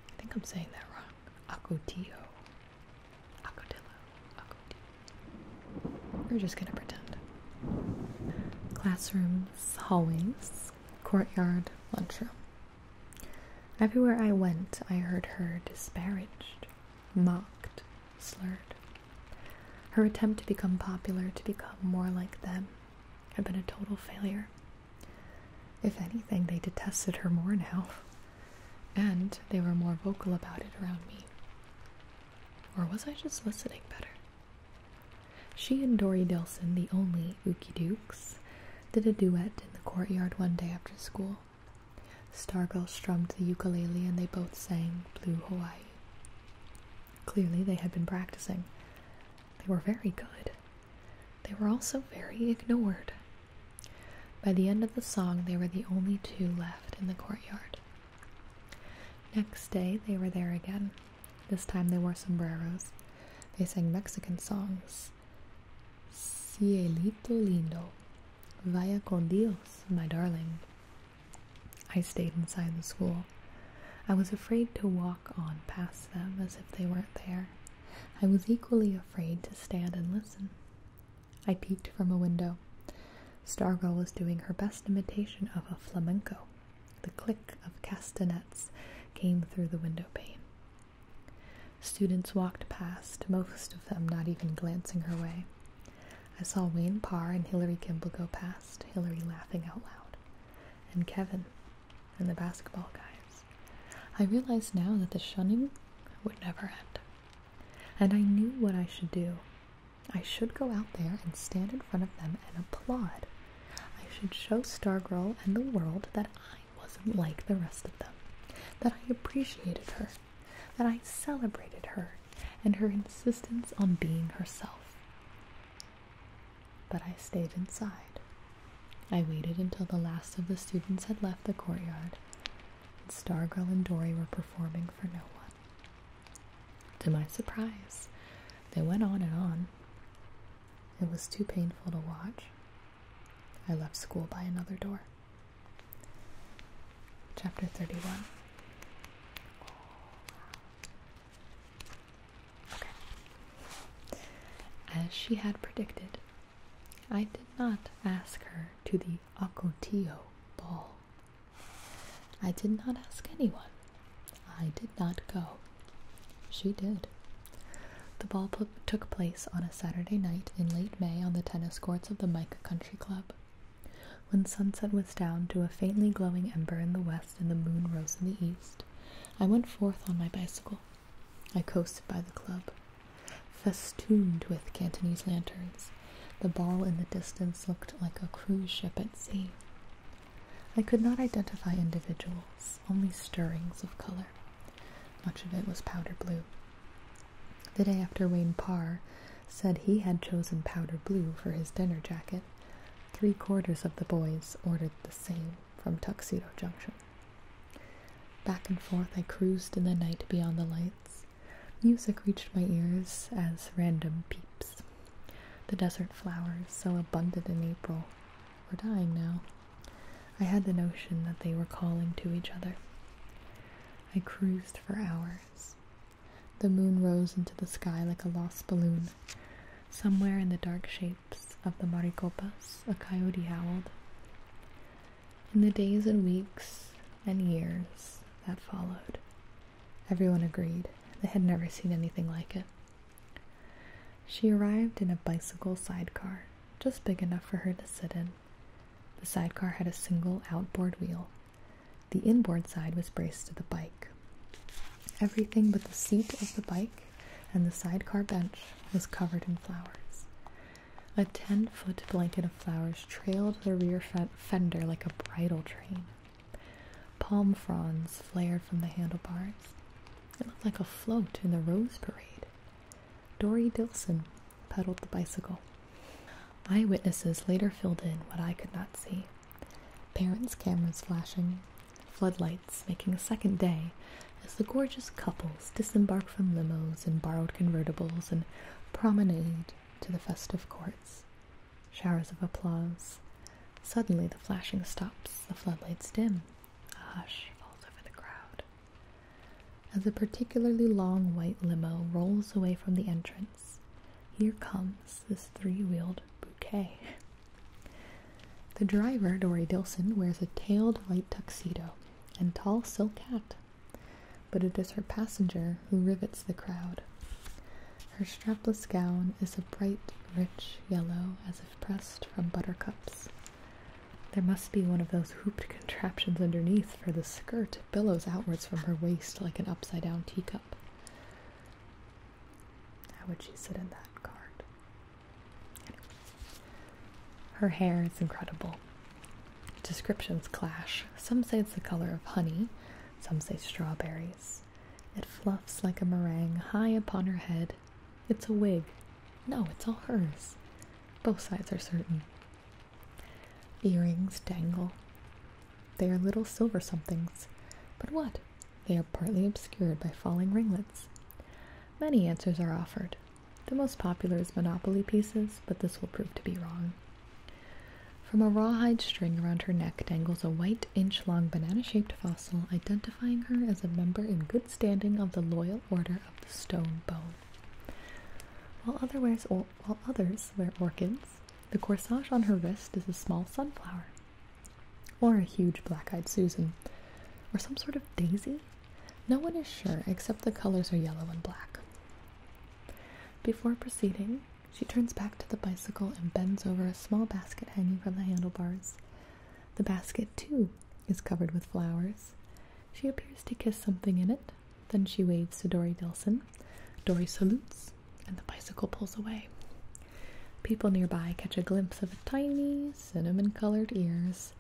I think I'm saying that wrong. Acotillo. Acotillo. Acotillo. We're just gonna pretend. Classrooms, hallways, courtyard, lunchroom. Everywhere I went, I heard her disparaged, mocked, slurred. Her attempt to become popular, to become more like them, had been a total failure. If anything, they detested her more now, and they were more vocal about it around me. Or was I just listening better? She and Dory Delson, the only Ookie Dukes, did a duet in the courtyard one day after school. Stargirl strummed the ukulele and they both sang Blue Hawaii. Clearly, they had been practicing. They were very good. They were also very ignored. By the end of the song, they were the only two left in the courtyard. Next day, they were there again. This time they wore sombreros. They sang Mexican songs. Cielito lindo, vaya con Dios, my darling. I stayed inside the school. I was afraid to walk on past them as if they weren't there. I was equally afraid to stand and listen. I peeked from a window. Stargirl was doing her best imitation of a flamenco. The click of castanets came through the window pane. Students walked past, most of them not even glancing her way. I saw Wayne Parr and Hilary Kimble go past, Hilary laughing out loud, and Kevin and the basketball guys. I realized now that the shunning would never end. And I knew what I should do. I should go out there and stand in front of them and applaud. I should show Stargirl and the world that wasn't like the rest of them, that I appreciated her, that I celebrated her and her insistence on being herself. But I stayed inside. I waited until the last of the students had left the courtyard, and Stargirl and Dory were performing for no one. To my surprise, they went on and on. It was too painful to watch. I left school by another door. Chapter 31. As she had predicted, I did not ask her to the Ocotillo ball. I did not ask anyone. I did not go. She did. The ball took place on a Saturday night in late May on the tennis courts of the Mica Country Club. When sunset was down to a faintly glowing ember in the west and the moon rose in the east, I went forth on my bicycle. I coasted by the club, festooned with Cantonese lanterns. The ball in the distance looked like a cruise ship at sea. I could not identify individuals, only stirrings of color. Much of it was powder blue. The day after Wayne Parr said he had chosen powder blue for his dinner jacket, three quarters of the boys ordered the same from Tuxedo Junction. Back and forth I cruised in the night beyond the lights. Music reached my ears as random peeps. The desert flowers, so abundant in April, we're dying now. I had the notion that they were calling to each other. I cruised for hours. The moon rose into the sky like a lost balloon. Somewhere in the dark shapes of the maricopas, a coyote howled. In the days and weeks and years that followed, everyone agreed they had never seen anything like it. She arrived in a bicycle sidecar, just big enough for her to sit in. The sidecar had a single outboard wheel. The inboard side was braced to the bike. Everything but the seat of the bike and the sidecar bench was covered in flowers. A ten foot blanket of flowers trailed the rear fender like a bridal train. Palm fronds flared from the handlebars. It looked like a float in the Rose Parade. Dory Dilson pedaled the bicycle. Eyewitnesses later filled in what I could not see. Parents' cameras flashing, floodlights making a second day as the gorgeous couples disembark from limos and borrowed convertibles and promenade to the festive courts. Showers of applause. Suddenly the flashing stops, the floodlights dim, a ah, hush falls over the crowd as a particularly long white limo rolls away from the entrance. Here comes this three-wheeled bouquet. The driver, Dory Dilson, wears a tailed white tuxedo and tall silk hat, but it is her passenger who rivets the crowd. Her strapless gown is a bright, rich yellow as if pressed from buttercups. There must be one of those hooped contraptions underneath, for the skirt billows outwards from her waist like an upside down teacup. How would she sit in that cart? Her hair is incredible. Descriptions clash. Some say it's the color of honey, some say strawberries. It fluffs like a meringue high upon her head, it's a wig. No, it's all hers. Both sides are certain. Earrings dangle. They are little silver somethings. But what? They are partly obscured by falling ringlets. Many answers are offered. The most popular is Monopoly pieces, but this will prove to be wrong. From a rawhide string around her neck dangles a white inch long banana shaped fossil, identifying her as a member in good standing of the Loyal Order of the Stone Bone. while others wear orchids, the corsage on her wrist is a small sunflower, or a huge black eyed Susan, or some sort of daisy. No one is sure, except the colors are yellow and black. Before proceeding, she turns back to the bicycle and bends over a small basket hanging from the handlebars. The basket, too, is covered with flowers. She appears to kiss something in it. Then she waves to Dory Delson. Dory salutes, and the bicycle pulls away. People nearby catch a glimpse of tiny cinnamon colored ears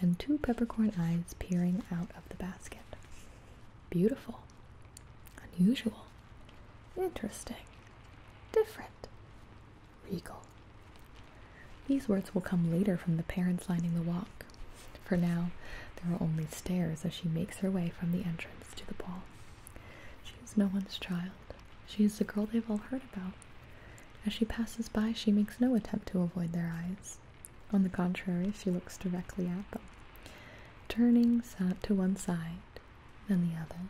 and two peppercorn eyes peering out of the basket. Beautiful, unusual, interesting, different regal. These words will come later from the parents lining the walk. For now, there are only stairs as she makes her way from the entrance to the ball. She is no one's child. She is the girl they've all heard about. As she passes by, she makes no attempt to avoid their eyes. On the contrary, she looks directly at them, turning to one side, then the other,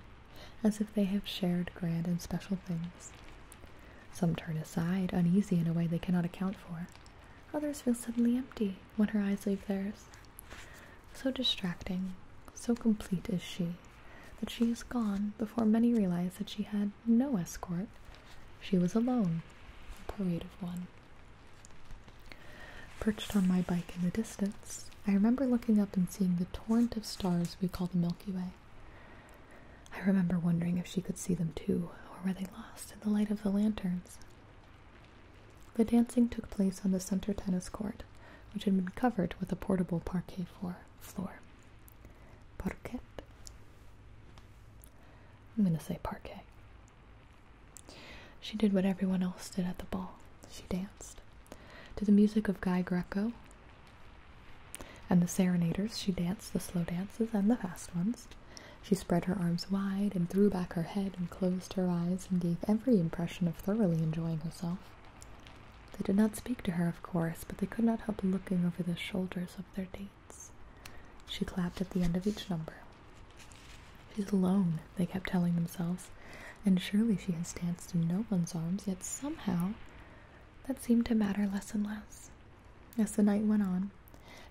as if they have shared grand and special things. Some turn aside, uneasy in a way they cannot account for. Others feel suddenly empty when her eyes leave theirs. So distracting, so complete is she, that she is gone before many realize that she had no escort. She was alone, a parade of one. Perched on my bike in the distance, I remember looking up and seeing the torrent of stars we call the Milky Way. I remember wondering if she could see them too, or were they lost in the light of the lanterns? The dancing took place on the center tennis court, which had been covered with a portable parquet floor. Parquet? I'm going to say parquet. She did what everyone else did at the ball. She danced. To the music of Guy Greco, and the serenaders, she danced the slow dances and the fast ones. She spread her arms wide and threw back her head and closed her eyes and gave every impression of thoroughly enjoying herself. They did not speak to her, of course, but they could not help looking over the shoulders of their dates. She clapped at the end of each number. She's alone, they kept telling themselves, and surely she has danced in no one's arms, yet somehow that seemed to matter less and less. As the night went on,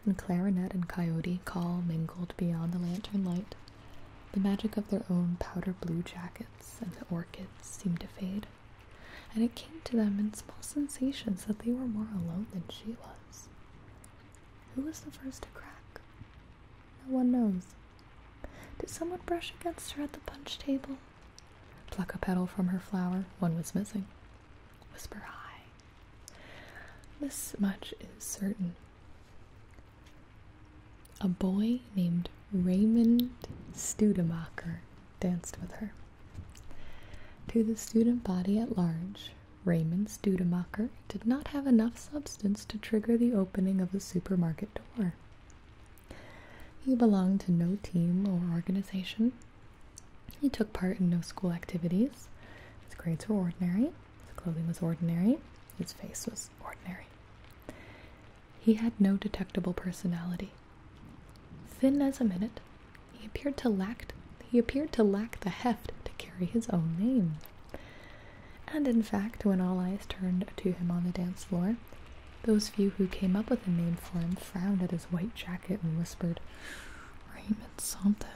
and clarinet and coyote call mingled beyond the lantern light, the magic of their own powder blue jackets and the orchids seemed to fade, and it came to them in small sensations that they were more alone than she was. Who was the first to crack? No one knows. Did someone brush against her at the punch table? Pluck a petal from her flower, one was missing. Whisper high. This much is certain. A boy named Raymond Studemacher danced with her. To the student body at large, Raymond Studemacher did not have enough substance to trigger the opening of the supermarket door. He belonged to no team or organization. He took part in no school activities. His grades were ordinary. His clothing was ordinary. His face was ordinary. He had no detectable personality. Thin as a minute, he appeared to lack he appeared to lack the heft to carry his own name. And in fact, when all eyes turned to him on the dance floor, those few who came up with a name for him frowned at his white jacket and whispered, Raymond something.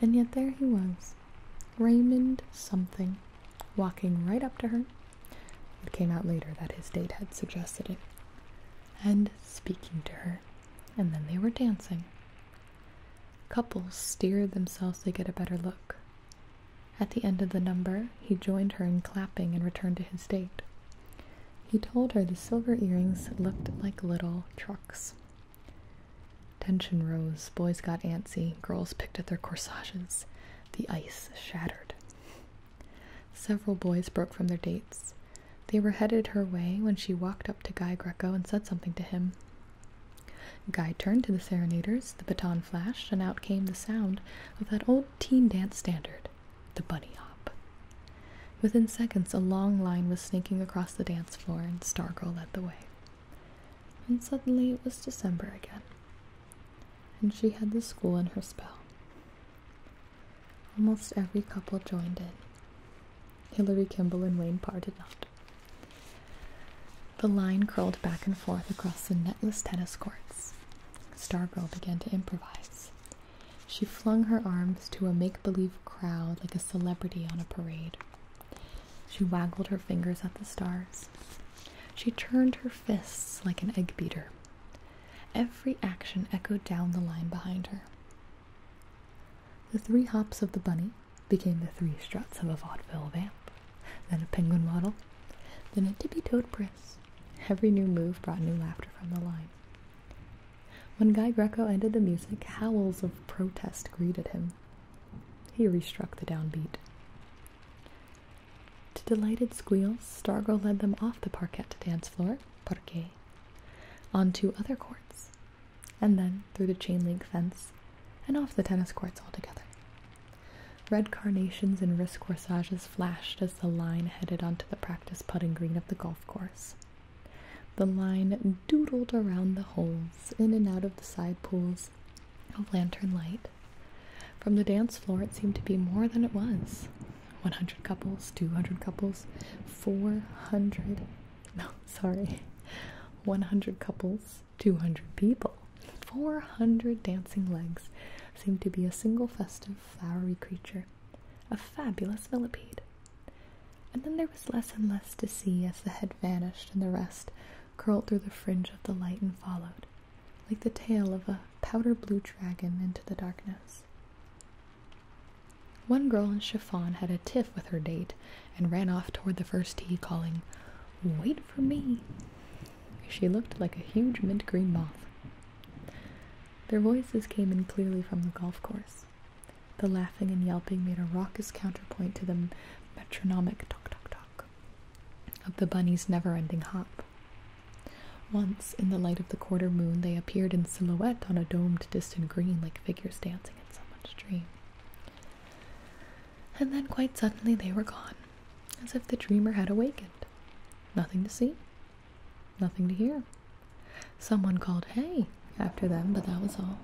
And yet there he was, Raymond something, walking right up to her. It came out later that his date had suggested it, and speaking to her. And then they were dancing. Couples steer themselves to get a better look. At the end of the number, he joined her in clapping and returned to his date. He told her the silver earrings looked like little trucks. Tension rose, boys got antsy, girls picked at their corsages. The ice shattered. Several boys broke from their dates. They were headed her way when she walked up to Guy Greco and said something to him. Guy turned to the serenaders, the baton flashed, and out came the sound of that old teen dance standard, the bunny hop. Within seconds, a long line was sneaking across the dance floor, and Stargirl led the way. And suddenly it was December again, and she had the school in her spell. Almost every couple joined in. Hilary Kimball and Wayne Parr did not. The line curled back and forth across the netless tennis courts, Stargirl began to improvise. She flung her arms to a make believe crowd like a celebrity on a parade. She waggled her fingers at the stars. She turned her fists like an egg beater. Every action echoed down the line behind her. The three hops of the bunny became the three struts of a vaudeville vamp then a penguin waddle, then a tippy-toed brisk. Every new move brought new laughter from the line. When Guy Greco ended the music, howls of protest greeted him. He re-struck the downbeat. To delighted squeals, Stargo led them off the parquet dance floor, parquet, onto other courts, and then through the chain link fence and off the tennis courts altogether. Red carnations and wrist corsages flashed as the line headed onto the practice putting green of the golf course. The line doodled around the holes, in and out of the side pools of lantern light. From the dance floor, it seemed to be more than it was 100 couples, 200 couples, 400. No, sorry. 100 couples, 200 people. 400 dancing legs seemed to be a single festive, flowery creature, a fabulous millipede. And then there was less and less to see as the head vanished and the rest curled through the fringe of the light and followed, like the tail of a powder blue dragon into the darkness. One girl in chiffon had a tiff with her date and ran off toward the first tee, calling, Wait for me! She looked like a huge mint green moth. Their voices came in clearly from the golf course. The laughing and yelping made a raucous counterpoint to the metronomic talk, talk, talk of the bunny's never ending hop. Once, in the light of the quarter moon, they appeared in silhouette on a domed distant green like figures dancing in someone's dream. And then quite suddenly they were gone as if the dreamer had awakened. Nothing to see, nothing to hear. Someone called hey after them, but that was all.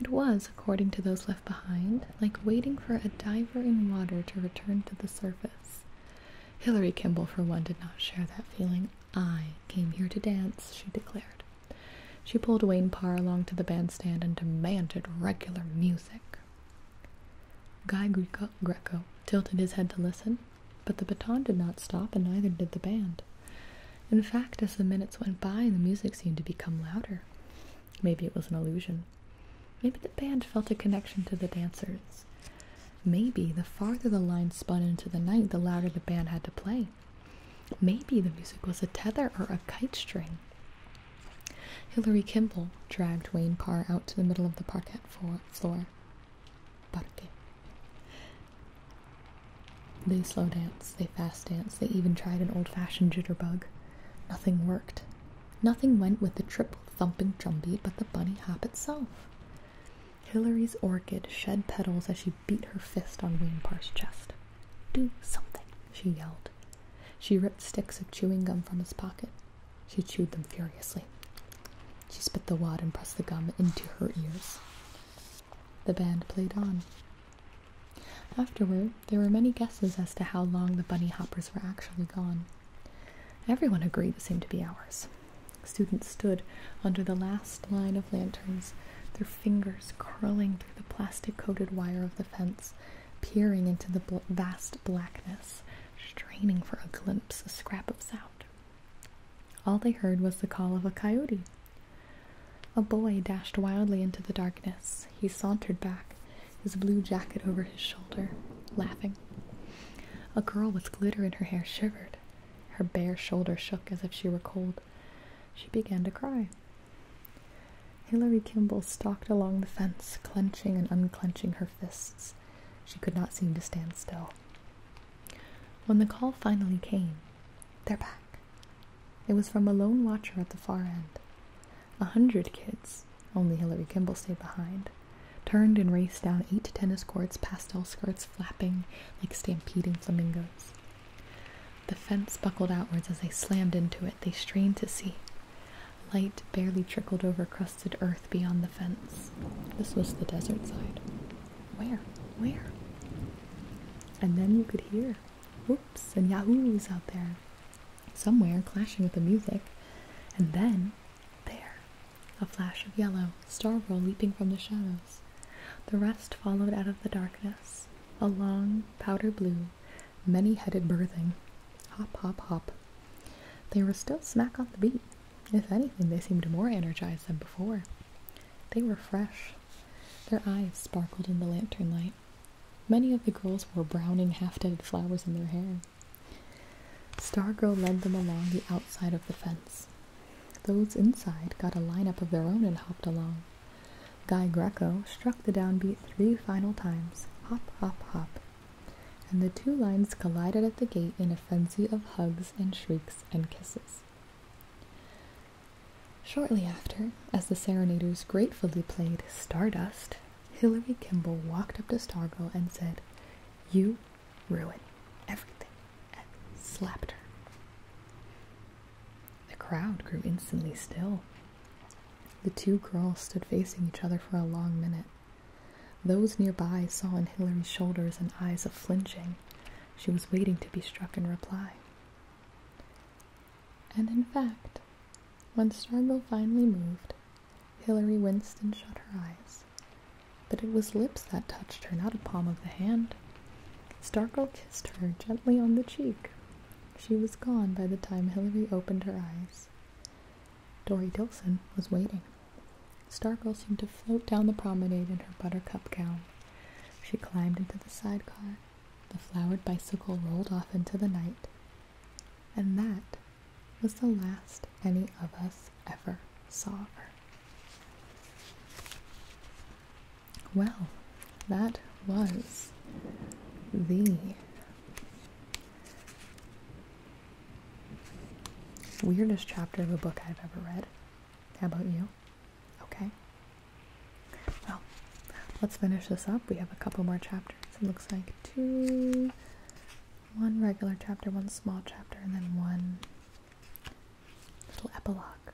It was, according to those left behind, like waiting for a diver in water to return to the surface. Hilary Kimball, for one, did not share that feeling. I came here to dance, she declared. She pulled Wayne Parr along to the bandstand and demanded regular music. Guy Greco, Greco tilted his head to listen, but the baton did not stop and neither did the band. In fact, as the minutes went by, the music seemed to become louder. Maybe it was an illusion. Maybe the band felt a connection to the dancers. Maybe the farther the line spun into the night, the louder the band had to play. Maybe the music was a tether or a kite string. Hilary Kimball dragged Wayne Parr out to the middle of the parquet floor. They slow danced, they fast danced, they even tried an old fashioned jitterbug. Nothing worked. Nothing went with the triple thump thumping drumbeat but the bunny hop itself. Hilary's orchid shed petals as she beat her fist on Wayne Parr's chest. Do something, she yelled. She ripped sticks of chewing gum from his pocket. She chewed them furiously. She spit the wad and pressed the gum into her ears. The band played on. Afterward, there were many guesses as to how long the bunny hoppers were actually gone. Everyone agreed it seemed to be hours. Students stood under the last line of lanterns, their fingers curling through the plastic coated wire of the fence peering into the vast blackness, straining for a glimpse, a scrap of sound. All they heard was the call of a coyote. A boy dashed wildly into the darkness. He sauntered back, his blue jacket over his shoulder, laughing. A girl with glitter in her hair shivered. Her bare shoulder shook as if she were cold. She began to cry. Hilary Kimball stalked along the fence, clenching and unclenching her fists. She could not seem to stand still. When the call finally came, they're back. It was from a lone watcher at the far end. A hundred kids, only Hilary Kimball stayed behind, turned and raced down eight tennis courts, pastel skirts flapping like stampeding flamingos. The fence buckled outwards as they slammed into it. They strained to see. Light barely trickled over crusted earth beyond the fence. This was the desert side. Where? Where? And then you could hear whoops and yahoos out there, somewhere clashing with the music. And then, there, a flash of yellow, Starro leaping from the shadows. The rest followed out of the darkness, a long powder blue many-headed birthing. Hop, hop, hop. They were still smack on the beat. If anything, they seemed more energized than before. They were fresh. Their eyes sparkled in the lantern light. Many of the girls wore browning, half-dead flowers in their hair. Stargirl led them along the outside of the fence. Those inside got a line up of their own and hopped along. Guy Greco struck the downbeat three final times. Hop, hop, hop and the two lines collided at the gate in a frenzy of hugs and shrieks and kisses. Shortly after, as the serenaders gratefully played Stardust, Hilary Kimball walked up to Stargo and said, You ruin everything, and slapped her. The crowd grew instantly still. The two girls stood facing each other for a long minute it. Those nearby saw in Hilary's shoulders and eyes a flinching. She was waiting to be struck in reply. And in fact, when Stargo finally moved, Hilary winced and shut her eyes. But it was lips that touched her, not a palm of the hand. Stargirl kissed her gently on the cheek. She was gone by the time Hilary opened her eyes. Dory Dilson was waiting. Stargirl seemed to float down the promenade in her buttercup gown. She climbed into the sidecar. The flowered bicycle rolled off into the night. And that was the last any of us ever saw her. Well, that was the Weirdest chapter of a book I've ever read. How about you? Okay. Well, let's finish this up. We have a couple more chapters. It looks like two, one regular chapter, one small chapter, and then one little epilogue.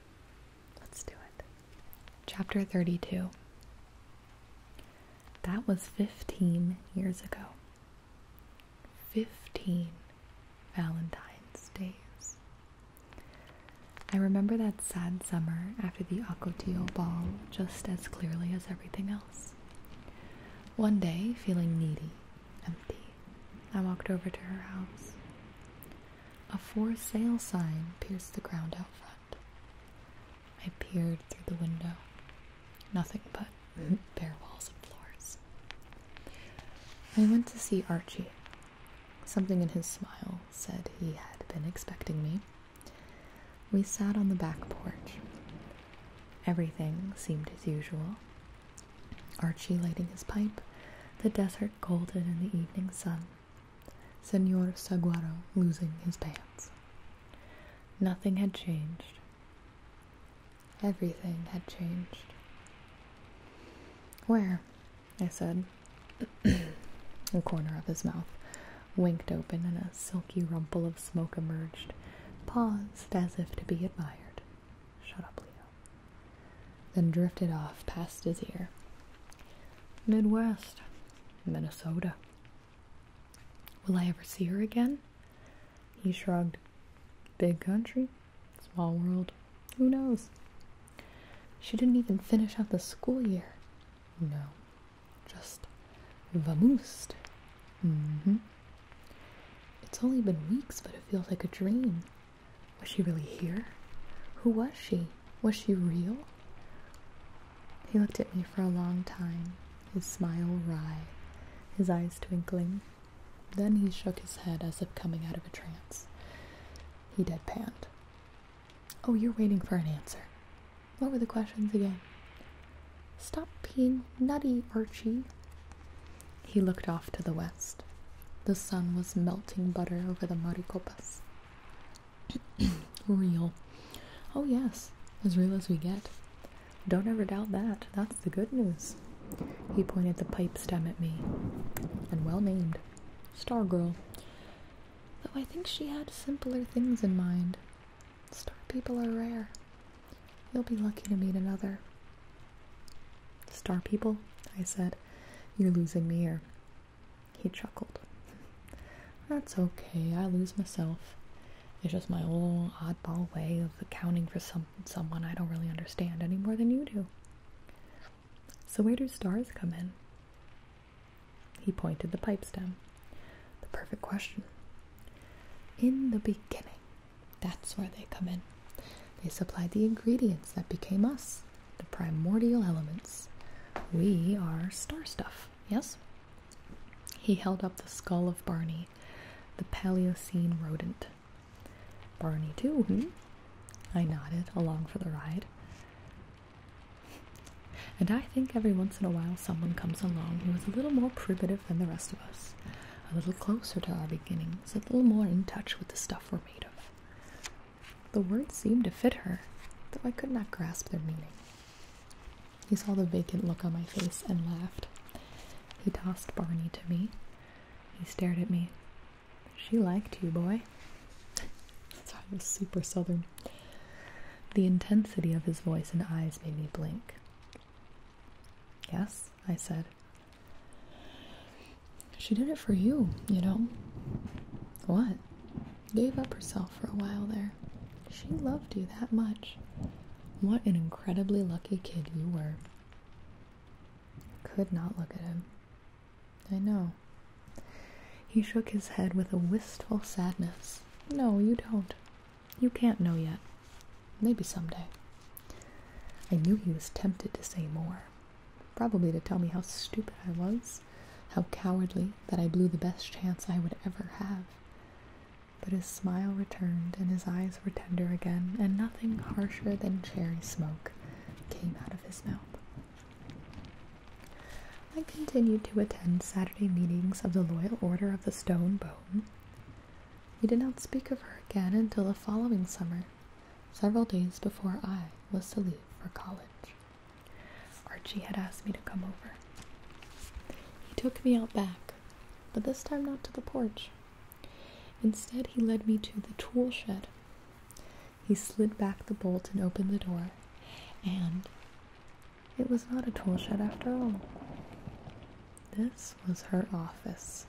Let's do it. Chapter 32 that was 15 years ago. 15 Valentine's Days. I remember that sad summer after the Ocotillo ball just as clearly as everything else. One day, feeling needy, empty, I walked over to her house. A for sale sign pierced the ground out front. I peered through the window. Nothing but bare walls and floors. I went to see Archie. Something in his smile said he had been expecting me. We sat on the back porch. Everything seemed as usual. Archie lighting his pipe, the desert golden in the evening sun. Senor Saguaro losing his pants. Nothing had changed. Everything had changed. Where? I said. the corner of his mouth winked open and a silky rumple of smoke emerged, paused as if to be admired. Shut up, Leo. Then drifted off past his ear. Midwest, Minnesota, Will I ever see her again? He shrugged. Big country, small world, who knows? She didn't even finish out the school year. No, just vamoosed. Mm-hmm. It's only been weeks, but it feels like a dream. Was she really here? Who was she? Was she real? He looked at me for a long time, his smile wry, his eyes twinkling. Then he shook his head as if coming out of a trance. He deadpanned. Oh, you're waiting for an answer. What were the questions again? Stop being nutty, Archie. He looked off to the west. The sun was melting butter over the maricopas. real. Oh, yes, as real as we get. Don't ever doubt that. That's the good news. He pointed the pipe stem at me, and well named. Star Girl. Though I think she had simpler things in mind. Star people are rare. You'll be lucky to meet another. Star people? I said. You're losing me here. He chuckled. That's okay, I lose myself. It's just my old oddball way of accounting for some someone I don't really understand any more than you do. So where do stars come in? He pointed the pipe stem. The perfect question. In the beginning. That's where they come in. They supplied the ingredients that became us, the primordial elements. We are star stuff, yes? He held up the skull of Barney, the Paleocene rodent. Barney, too, hmm? I nodded, along for the ride. And I think every once in a while someone comes along who is a little more primitive than the rest of us, a little closer to our beginnings, a little more in touch with the stuff we're made of. The words seemed to fit her, though I could not grasp their meaning. He saw the vacant look on my face and laughed. He tossed Barney to me. He stared at me. She liked you, boy. so I was super southern. The intensity of his voice and eyes made me blink. Yes, I said. She did it for you, you know. What? Gave up herself for a while there. She loved you that much. What an incredibly lucky kid you were. Could not look at him. I know. He shook his head with a wistful sadness. No, you don't. You can't know yet. Maybe someday. I knew he was tempted to say more. Probably to tell me how stupid I was, how cowardly, that I blew the best chance I would ever have. But his smile returned, and his eyes were tender again, and nothing harsher than cherry smoke came out of his mouth. I continued to attend Saturday meetings of the Loyal Order of the Stone Bone. We did not speak of her again until the following summer, several days before I was to leave for college. Archie had asked me to come over. He took me out back, but this time not to the porch. Instead, he led me to the tool shed. He slid back the bolt and opened the door, and it was not a tool shed after all. This was her office,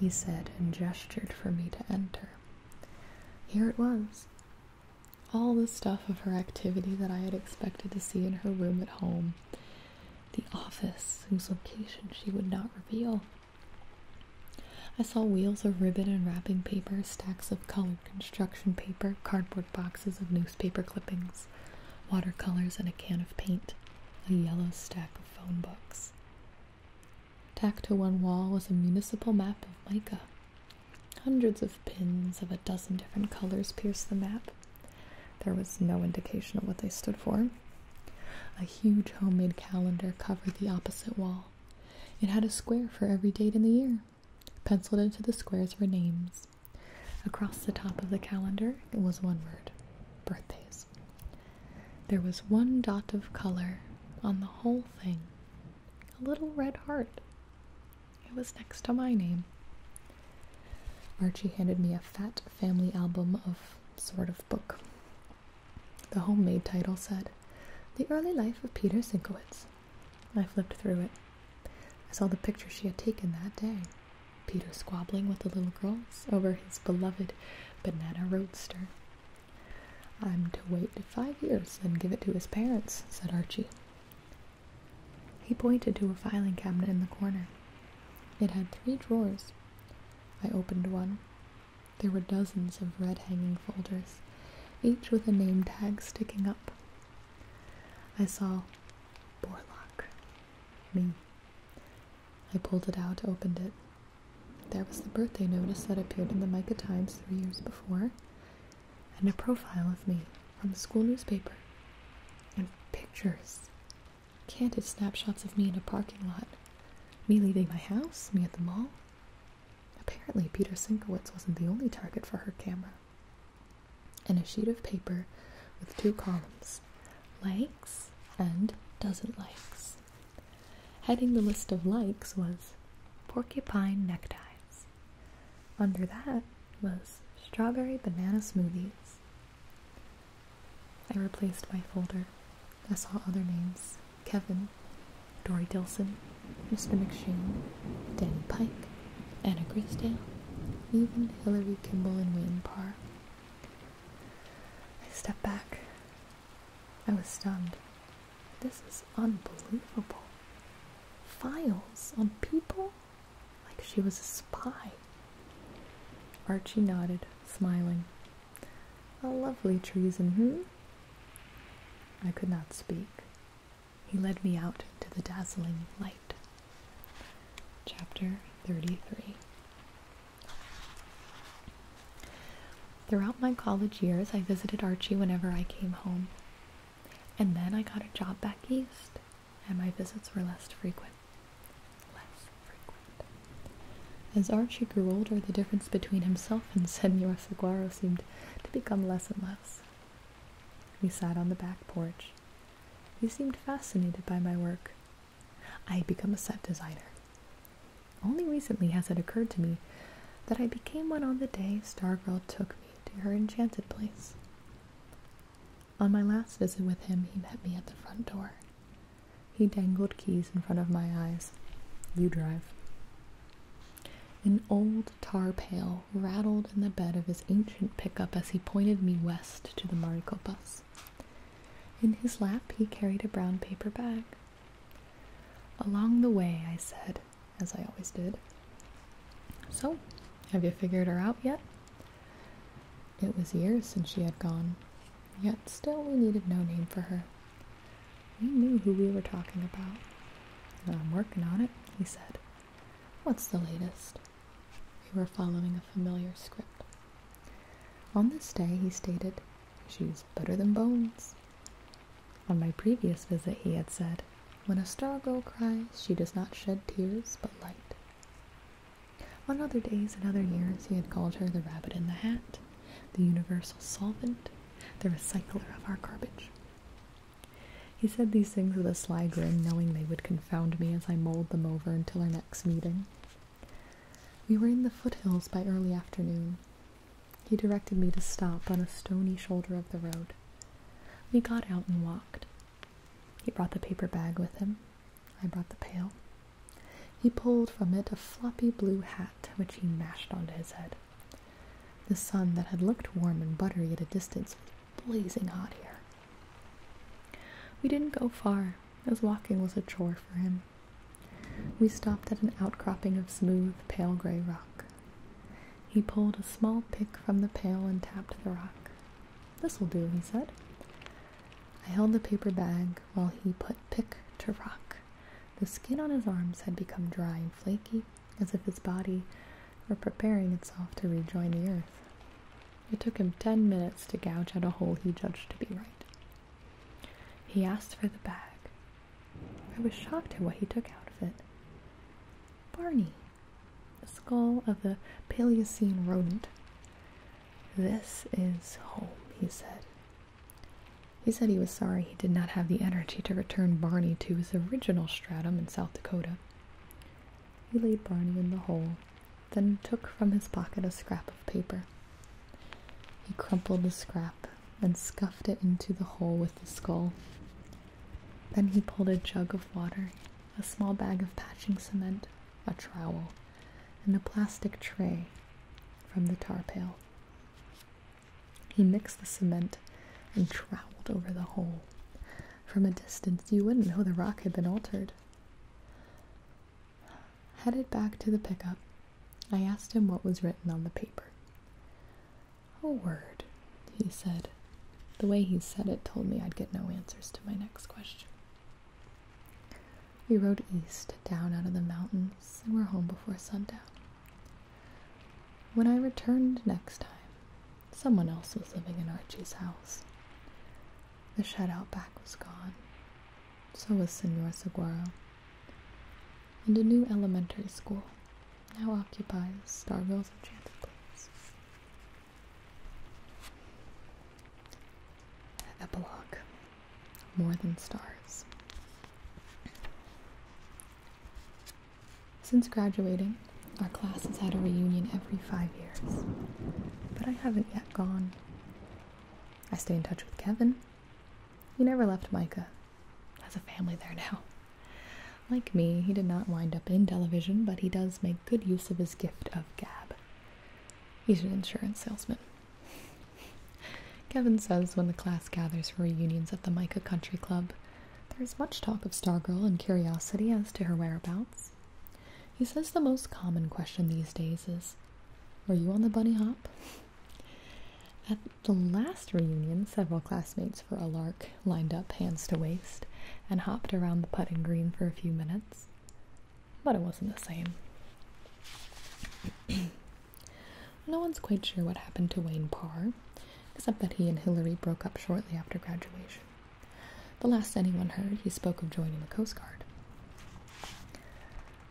he said, and gestured for me to enter. Here it was. All the stuff of her activity that I had expected to see in her room at home the office whose location she would not reveal. I saw wheels of ribbon and wrapping paper, stacks of colored construction paper, cardboard boxes of newspaper clippings, watercolors, and a can of paint, a yellow stack of phone books. Tacked to one wall was a municipal map of Micah. Hundreds of pins of a dozen different colors pierced the map, there was no indication of what they stood for. A huge homemade calendar covered the opposite wall. It had a square for every date in the year. Penciled into the squares were names. Across the top of the calendar it was one word birthdays. There was one dot of color on the whole thing a little red heart. It was next to my name. Archie handed me a fat family album of sort of book. The homemade title said, The Early Life of Peter Sinkowitz. I flipped through it. I saw the picture she had taken that day. Peter squabbling with the little girls over his beloved banana roadster. I'm to wait five years and give it to his parents, said Archie. He pointed to a filing cabinet in the corner. It had three drawers. I opened one. There were dozens of red hanging folders, each with a name tag sticking up. I saw Borlock. Me. I pulled it out, opened it. There was the birthday notice that appeared in the Micah Times three years before, and a profile of me from the school newspaper, and pictures, candid snapshots of me in a parking lot, me leaving my house, me at the mall. Apparently, Peter Sinkowitz wasn't the only target for her camera. And a sheet of paper with two columns likes and doesn't likes. Heading the list of likes was porcupine neckties, under that was strawberry banana smoothies. I replaced my folder. I saw other names Kevin, Dory Dilson, Mr. McShane, Danny Pike, Anna Graysdale, even Hilary Kimball and Wayne Parr. I stepped back. I was stunned. This is unbelievable. Files on people? like she was a spy. Archie nodded, smiling. A lovely treason, hmm? I could not speak. He led me out into the dazzling light. Chapter 33 Throughout my college years, I visited Archie whenever I came home. And then I got a job back east and my visits were less frequent. Less frequent. As Archie grew older, the difference between himself and Senor Saguaro seemed to become less and less. We sat on the back porch. He seemed fascinated by my work. I had become a set designer. Only recently has it occurred to me that I became one on the day Stargirl took me to her enchanted place. On my last visit with him, he met me at the front door. He dangled keys in front of my eyes. You drive. An old tar pail rattled in the bed of his ancient pickup as he pointed me west to the Marico bus. In his lap, he carried a brown paper bag. Along the way, I said, as I always did, So, have you figured her out yet? It was years since she had gone, yet still we needed no name for her. We knew who we were talking about. I'm working on it, he said. What's the latest? We were following a familiar script. On this day, he stated, She's better than bones. On my previous visit, he had said, When a star girl cries, she does not shed tears, but light. On other days and other years, he had called her the rabbit in the hat, the universal solvent, the recycler of our garbage. He said these things with a sly grin, knowing they would confound me as I mulled them over until our next meeting. We were in the foothills by early afternoon. He directed me to stop on a stony shoulder of the road. We got out and walked, he brought the paper bag with him. I brought the pail. He pulled from it a floppy blue hat, which he mashed onto his head. The sun that had looked warm and buttery at a distance was blazing hot here. We didn't go far, as walking was a chore for him. We stopped at an outcropping of smooth, pale gray rock. He pulled a small pick from the pail and tapped the rock. This will do, he said. I held the paper bag while he put pick to rock. The skin on his arms had become dry and flaky, as if his body were preparing itself to rejoin the earth. It took him ten minutes to gouge out a hole he judged to be right. He asked for the bag. I was shocked at what he took out of it. Barney, the skull of the Paleocene rodent. This is home, he said. He said he was sorry he did not have the energy to return Barney to his original stratum in South Dakota. He laid Barney in the hole, then took from his pocket a scrap of paper. He crumpled the scrap and scuffed it into the hole with the skull. Then he pulled a jug of water a small bag of patching cement, a trowel, and a plastic tray from the tar pail. He mixed the cement and troweled over the hole. From a distance, you wouldn't know the rock had been altered. Headed back to the pickup, I asked him what was written on the paper. A word, he said, the way he said it told me I'd get no answers to my next question. We rode east, down out of the mountains, and were home before sundown. When I returned next time, someone else was living in Archie's house. The shed out back was gone. So was Senor Seguero. And a new elementary school now occupies Starville's enchanted place. Epilogue More Than Stars. Since graduating, our class has had a reunion every five years, but I haven't yet gone. I stay in touch with Kevin. He never left Micah, has a family there now. Like me, he did not wind up in television, but he does make good use of his gift of gab. He's an insurance salesman. Kevin says when the class gathers for reunions at the Micah Country Club, there is much talk of Stargirl and curiosity as to her whereabouts. He says the most common question these days is, Were you on the bunny hop? At the last reunion, several classmates for a lark lined up, hands to waist, and hopped around the putting green for a few minutes. But it wasn't the same. no one's quite sure what happened to Wayne Parr, except that he and Hillary broke up shortly after graduation. The last anyone heard, he spoke of joining the Coast Guard.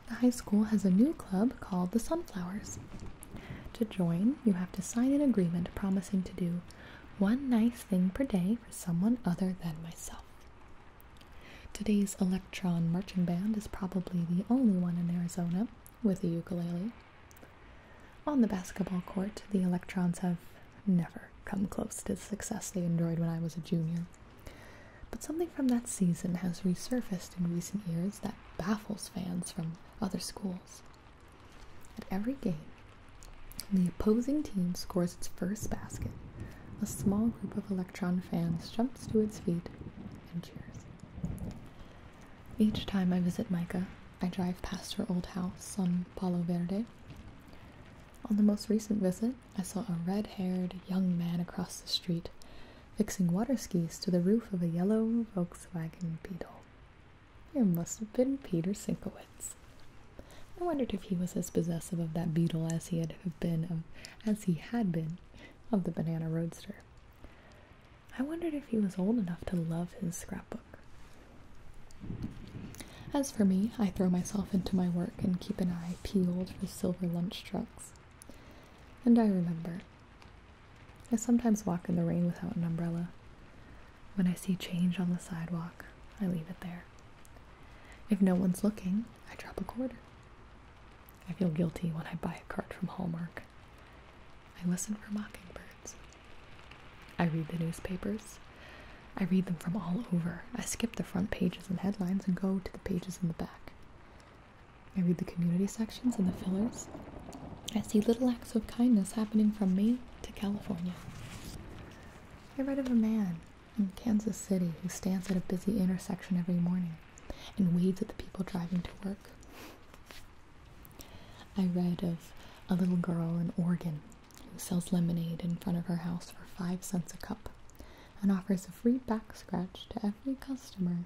The high school has a new club called the Sunflowers. To join, you have to sign an agreement promising to do one nice thing per day for someone other than myself. Today's electron marching band is probably the only one in Arizona with a ukulele. On the basketball court, the electrons have never come close to the success they enjoyed when I was a junior. But something from that season has resurfaced in recent years that baffles fans from other schools. At every game, when the opposing team scores its first basket. A small group of Electron fans jumps to its feet and cheers. Each time I visit Micah, I drive past her old house on Palo Verde. On the most recent visit, I saw a red haired young man across the street fixing water skis to the roof of a yellow Volkswagen Beetle. There must have been Peter Sinkowitz. I wondered if he was as possessive of that beetle as he had been of, as he had been of the banana roadster. I wondered if he was old enough to love his scrapbook. As for me, I throw myself into my work and keep an eye peeled for silver lunch trucks. And I remember. I sometimes walk in the rain without an umbrella. When I see change on the sidewalk, I leave it there. If no one's looking, I drop a quarter. I feel guilty when I buy a card from Hallmark. I listen for mockingbirds. I read the newspapers. I read them from all over. I skip the front pages and headlines and go to the pages in the back. I read the community sections and the fillers. I see little acts of kindness happening from Maine to California. I read of a man in Kansas City who stands at a busy intersection every morning and waves at the people driving to work. I read of a little girl in Oregon who sells lemonade in front of her house for five cents a cup and offers a free back scratch to every customer.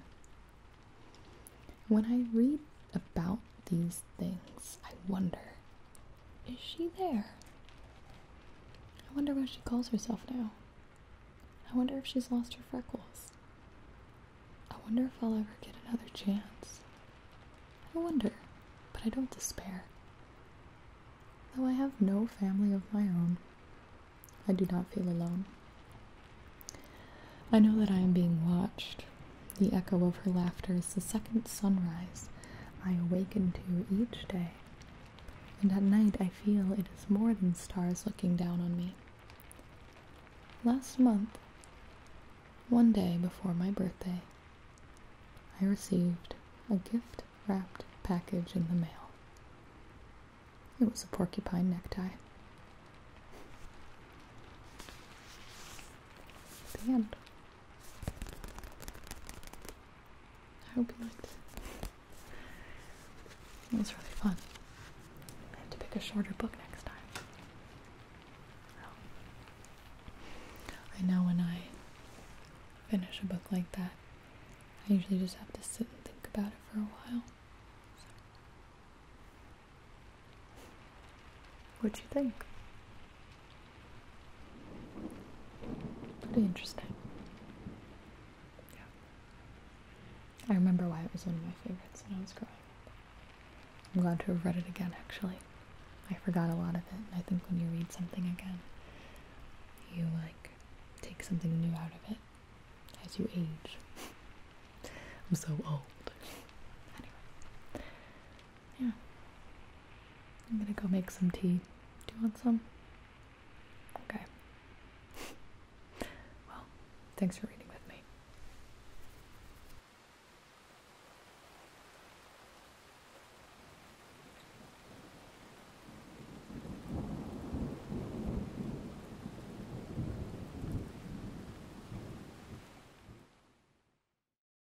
When I read about these things, I wonder is she there? I wonder what she calls herself now. I wonder if she's lost her freckles. I wonder if I'll ever get another chance. I wonder, but I don't despair. Though I have no family of my own, I do not feel alone. I know that I am being watched, the echo of her laughter is the second sunrise I awaken to each day, and at night I feel it is more than stars looking down on me. Last month, one day before my birthday, I received a gift wrapped package in the mail. It was a porcupine necktie. The end. I hope you liked it. It was really fun. I have to pick a shorter book next time. I know when I finish a book like that, I usually just have to sit and think about it for a while. what do you think? Pretty interesting. Yeah. I remember why it was one of my favorites when I was growing up. I'm glad to have read it again, actually. I forgot a lot of it, and I think when you read something again, you like take something new out of it as you age. I'm so old. anyway. Yeah. I'm gonna go make some tea. Do you want some? Okay. well, thanks for reading with me.